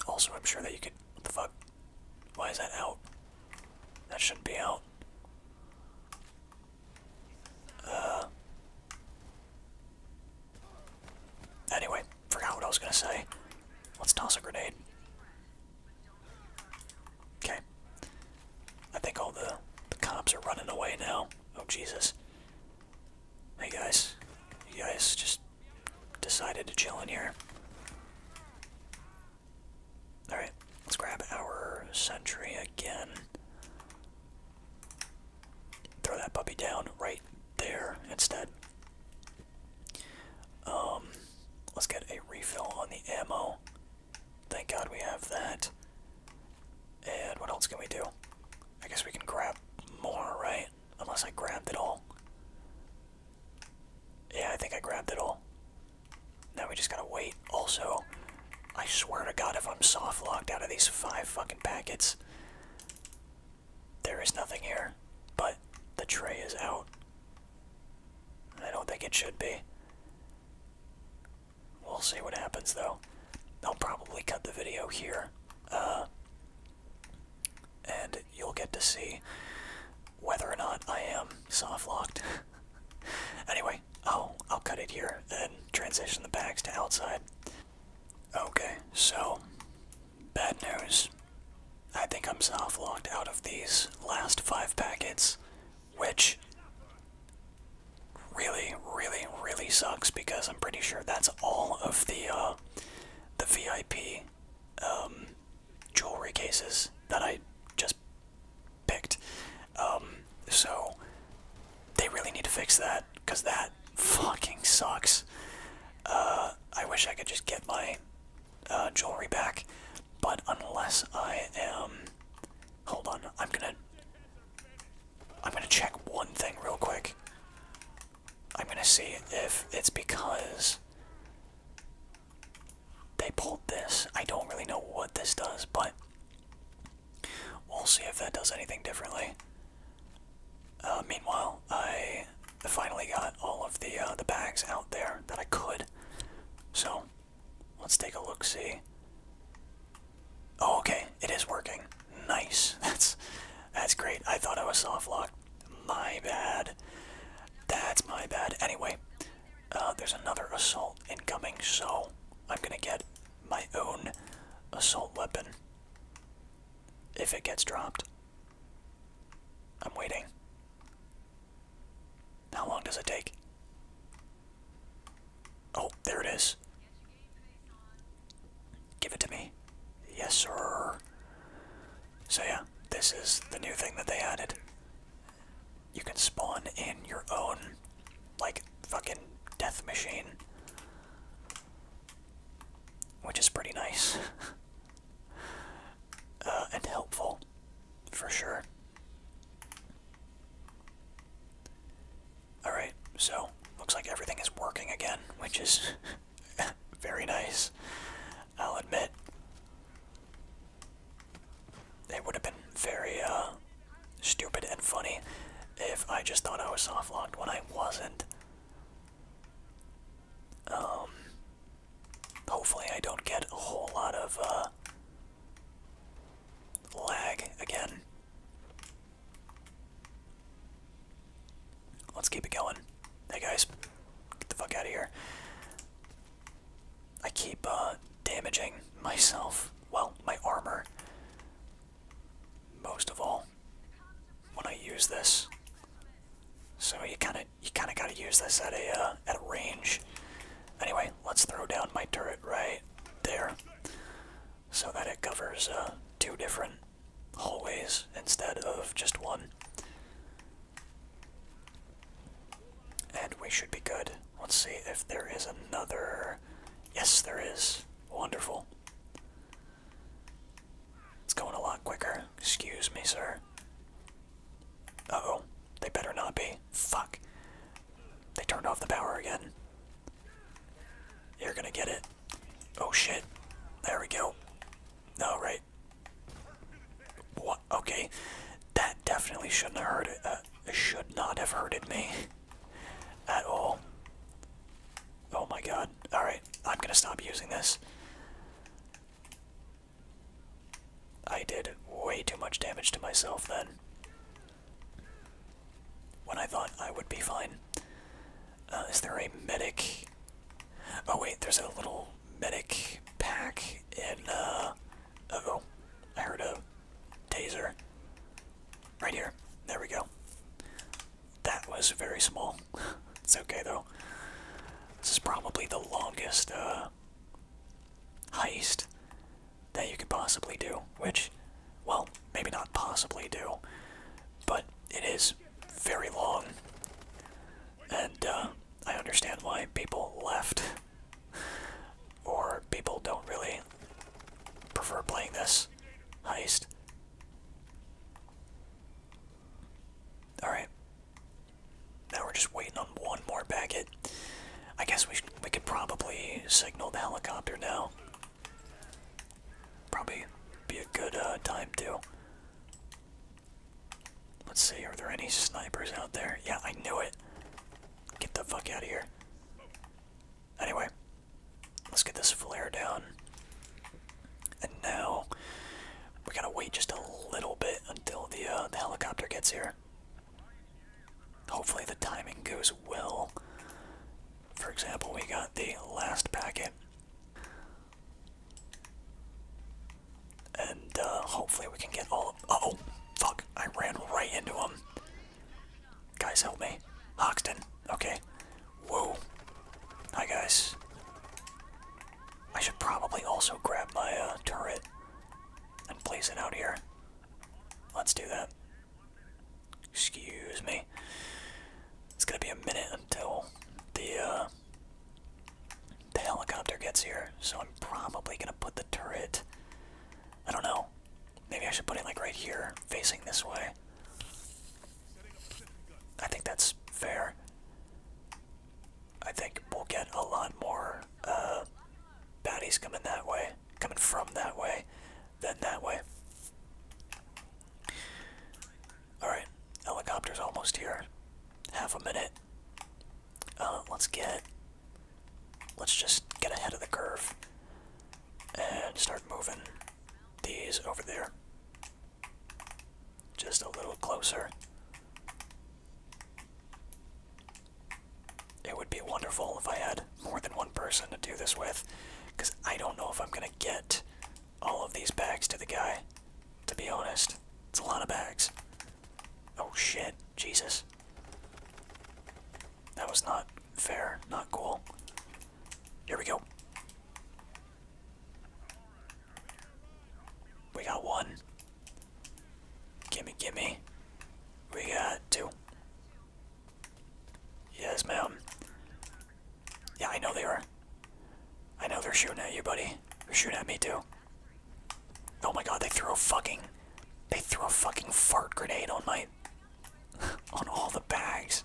Also, I'm sure that you could. What the fuck? Why is that out? That shouldn't be out. Uh. Anyway, forgot what I was gonna say. Let's toss a grenade. Okay. I think all the, cops are running away now. Oh, Jesus. Hey, guys. You guys just decided to chill in here. Alright, let's grab our sentry again. Throw that puppy down right there instead. Um, let's get a refill on the ammo. Thank God we have that. And what else can we do? I guess we can grab more, right? Unless I grabbed it all. Yeah, I think I grabbed it all. Now we just gotta wait. Also, I swear to God, if I'm soft locked out of these five fucking packets, there is nothing here. But the tray is out. I don't think it should be. We'll see what happens though. I'll probably cut the video here. Uh, and you'll get to see whether or not I am soft locked. anyway, I'll I'll cut it here and transition the bags to outside. Okay, so bad news. I think I'm soft locked out of these last five packets which really, really, really sucks because I'm pretty sure that's all of the uh, the VIP um, jewelry cases that I just picked. Um, so they really need to fix that because that fucking sucks. Uh, I wish I could just get my uh, jewelry back, but unless I am Hold on, I'm gonna... I'm gonna check one thing real quick. I'm gonna see if it's because they pulled this. I don't really know what this does, but we'll see if that does anything differently. Uh, meanwhile, I finally got all of the uh, the bags out there that I could, so Let's take a look, see. Oh, okay, it is working. Nice. That's that's great. I thought it was soft lock. My bad. That's my bad. Anyway, uh, there's another assault incoming, so I'm gonna get my own assault weapon if it gets dropped. I'm waiting. How long does it take? Oh, there it is. Give it to me. Yes, sir. So yeah, this is the new thing that they added. You can spawn in your own, like, fucking death machine. Which is pretty nice. Uh, and helpful, for sure. Alright, so looks like everything is working again, which is very nice, I'll admit. It would have been very uh, stupid and funny if I just thought I was soft locked when I wasn't. Um, hopefully, I don't get a whole lot of uh, Lag again. Let's keep it going. Hey guys, get the fuck out of here. I keep uh, damaging myself, well, my armor, most of all, when I use this. So you kind of you kind of got to use this at a uh, at a range. Anyway, let's throw down my turret right there so that it covers uh, two different hallways instead of just one. And we should be good. Let's see if there is another. Yes, there is. Wonderful. It's going a lot quicker. Excuse me, sir. Uh oh. They better not be. Fuck. They turned off the power again. You're gonna get it. Oh shit. There we go. No, right. What? Okay. That definitely shouldn't have hurt it. Uh, should not have hurted me. At all. Oh my god. Alright. I'm gonna stop using this. I did way too much damage to myself then when I thought I would be fine. Uh, is there a medic? Oh wait, there's a little medic pack in, uh, oh, I heard a taser. Right here, there we go. That was very small. it's okay though. This is probably the longest, uh, heist that you could possibly do, which, well, maybe not possibly do, but it is very long. And uh, I understand why people left, or people don't really prefer playing this heist. Alright. Now we're just waiting on one more package. I guess we we could probably signal the helicopter now. Probably be a good uh, time to. Let's see, are there any snipers out there? Yeah, I knew it. Get the fuck out of here. Anyway, let's get this flare down. And now we gotta wait just a little bit until the uh, the helicopter gets here. Hopefully, the timing goes well. For example, we got the last packet, and uh, hopefully, we can get all. Of, oh, fuck! I ran right into him. Guys, help me. Hoxton. Okay. Whoa. Hi, guys. I should probably also grab my uh, turret and place it out here. Let's do that. Excuse me. It's gonna be a minute until the uh, the helicopter gets here, so I'm probably gonna put the turret. I don't know. Maybe I should put it like right here, facing this way. I think that's fair. I think we'll get a lot more uh, baddies coming that way coming from that way, then that way. Alright, helicopter's almost here. Half a minute. Uh, let's get. Let's just get ahead of the curve and start moving these over there. Just a little closer. It would be wonderful if I had more than one person to do this with, because I don't know if I'm going to get all of these bags to the guy. To be honest, it's a lot of bags. Oh shit, Jesus. That was not fair, not cool. Here we go. We got one. Gimme, gimme. We got two. Yes, ma'am. Yeah, I know they are. I know they're shooting at you, buddy. They're shooting at me too. Oh my god, they threw a fucking they threw a fucking fart grenade on my on all the bags.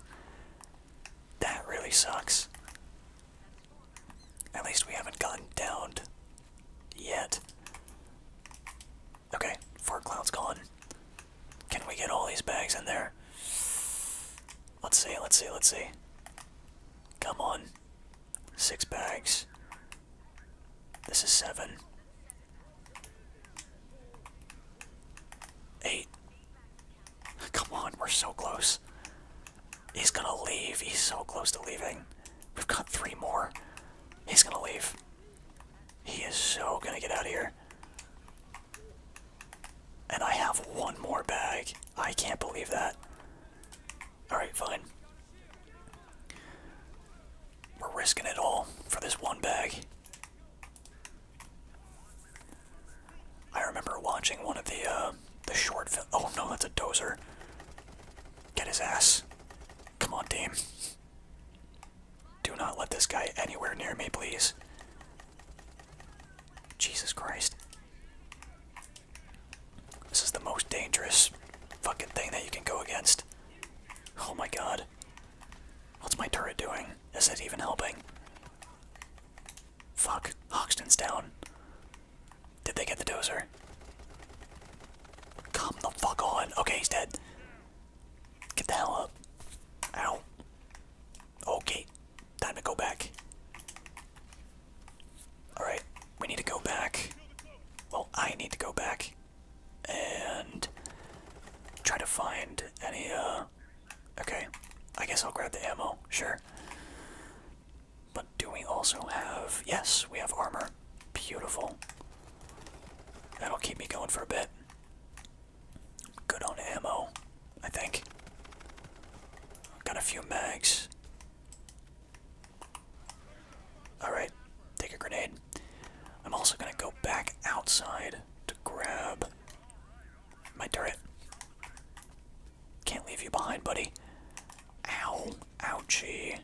That really sucks. At least we haven't gotten downed yet. Okay, four has gone. Can we get all these bags in there? Let's see, let's see, let's see. Come on. Six bags. This is seven. Eight. Come on, we're so close. He's gonna leave. He's so close to leaving. We've got three more. He's gonna leave. He is so gonna get out of here. And I have one more bag. I can't believe that. Alright, fine. We're risking it all for this one bag. I remember watching one of the uh, the short film. Oh no, that's a dozer. Get his ass. Come on, team. Do not let this guy anywhere near me, please. Jesus Christ. This is the most dangerous fucking thing that you can go against. Oh my god. What's my turret doing? Is it even helping? Fuck. Hoxton's down. Did they get the dozer? Come the fuck on. Okay, he's dead. Get the hell up. Ow. Okay. Time to go back. Alright. We need to go back. Well, I need to go back. And try to find any, uh. Okay. I guess I'll grab the ammo. Sure. But do we also have. Yes, we have armor. Beautiful. That'll keep me going for a bit. Good on ammo, I think. Got a few mags. Alright, take a grenade. I'm also gonna go back outside to grab my turret. Can't leave you behind, buddy. Ow. Ouchie.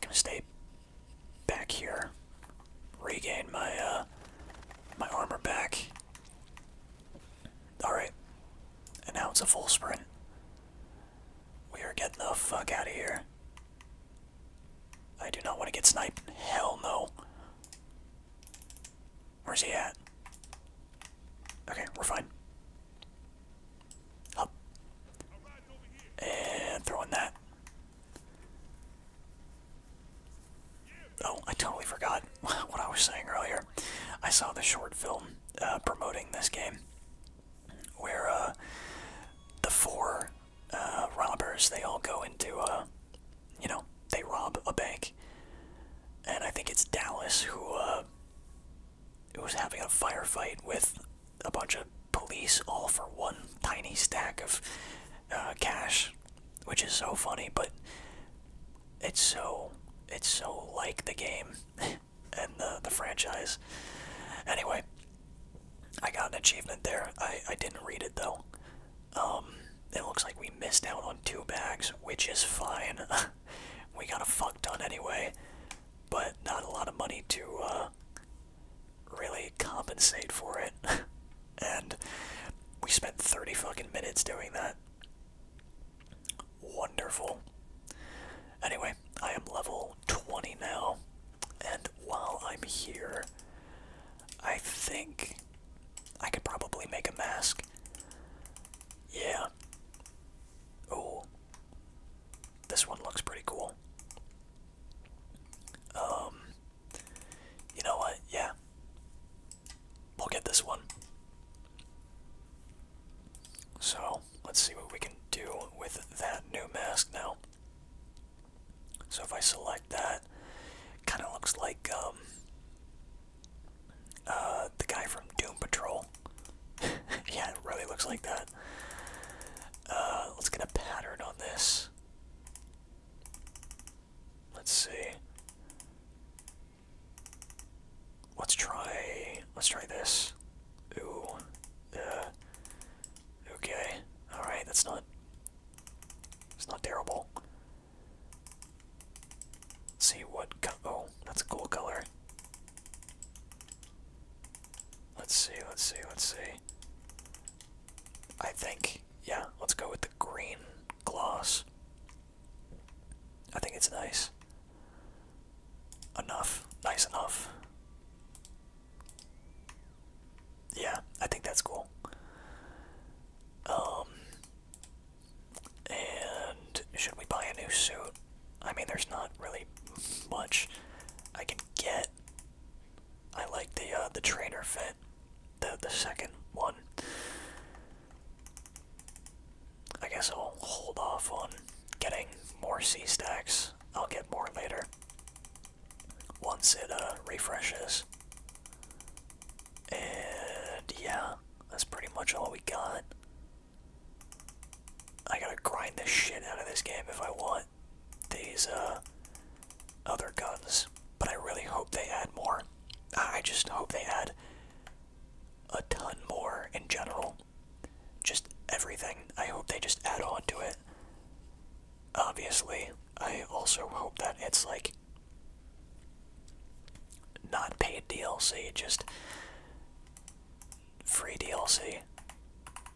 Gonna stay back here, regain my uh, my armor back. All right, and now it's a full sprint. We are getting the fuck out of here. I do not want to get sniped. Hell no. Where's he at? Okay, we're fine. Up. And throwing that. Oh, I totally forgot what I was saying earlier. I saw the short film uh, promoting this game where uh, the four uh, robbers, they all go into, a, you know, they rob a bank. And I think it's Dallas who, uh, who was having a firefight with a bunch of police all for one tiny stack of uh, cash, which is so funny, but it's so it's so like the game and the the franchise. Anyway, I got an achievement there. I I didn't read it though. Um, it looks like we missed out on two bags, which is fine. we got a fuck done anyway, but not a lot of money to uh, really compensate for it. and we spent 30 fucking minutes doing that. Wonderful. Anyway, I am level 20 now. And while I'm here, I think I could probably make a mask. Yeah. Oh. This one looks pretty cool. Um, you know what? Yeah, we'll get this one. So let's see what we can do with that new mask now. So if I select that, kind of looks like um, uh, the guy from Doom Patrol. yeah, it really looks like that. Uh, let's get a pattern on this. Let's see. Let's try. Let's try this. Ooh. Uh, okay. All right. That's not. It's not terrible. Let's see what. Co oh, that's a cool color. Let's see, let's see, let's see. I think, yeah, let's go with the green gloss. I think it's nice. Enough. Nice enough. Yeah, I think that's cool. Um, and should we buy a new suit? I mean, there's not really much I can get. I like the uh, the trainer fit, the the second one. I guess I'll hold off on getting more C stacks. I'll get more later once it uh, refreshes. And yeah, that's pretty much all we got. I gotta grind the shit out of this game if I want these uh, other guns, but I really hope they add more. I just hope they add a ton more in general. Just everything. I hope they just add on to it. Obviously, I also hope that it's like not paid DLC, just free DLC.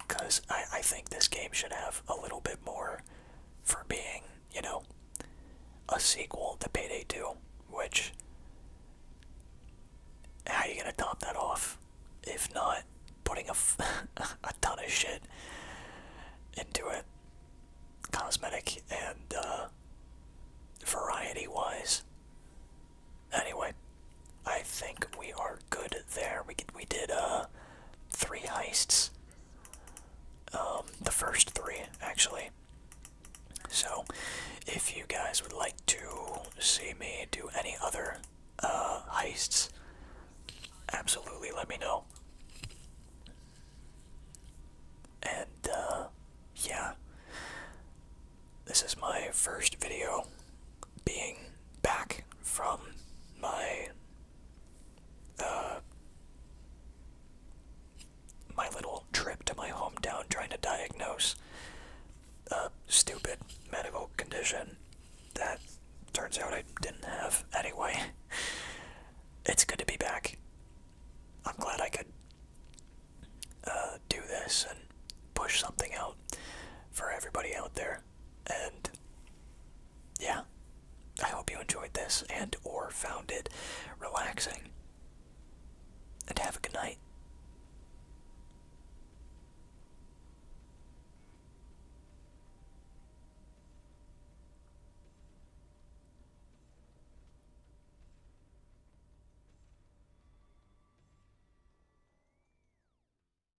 Because I, I think this game should have a little bit more for being, you know, a sequel to Payday 2, which. How are you gonna top that off? If not, putting a ton of shit into it, cosmetic and uh, variety wise. Anyway, I think we are good there. We we did uh three heists. Um, the first three actually. So, if you guys would like to see me do any other uh, heists, absolutely let me know. And uh, yeah, this is my first video being back from my uh, my little trip to my hometown trying to diagnose a stupid medical condition that turns out I didn't have anyway. It's good to be back. I'm glad I could uh, do this and push something out for everybody out there and yeah, I hope you enjoyed this and or found it relaxing. And have a good night.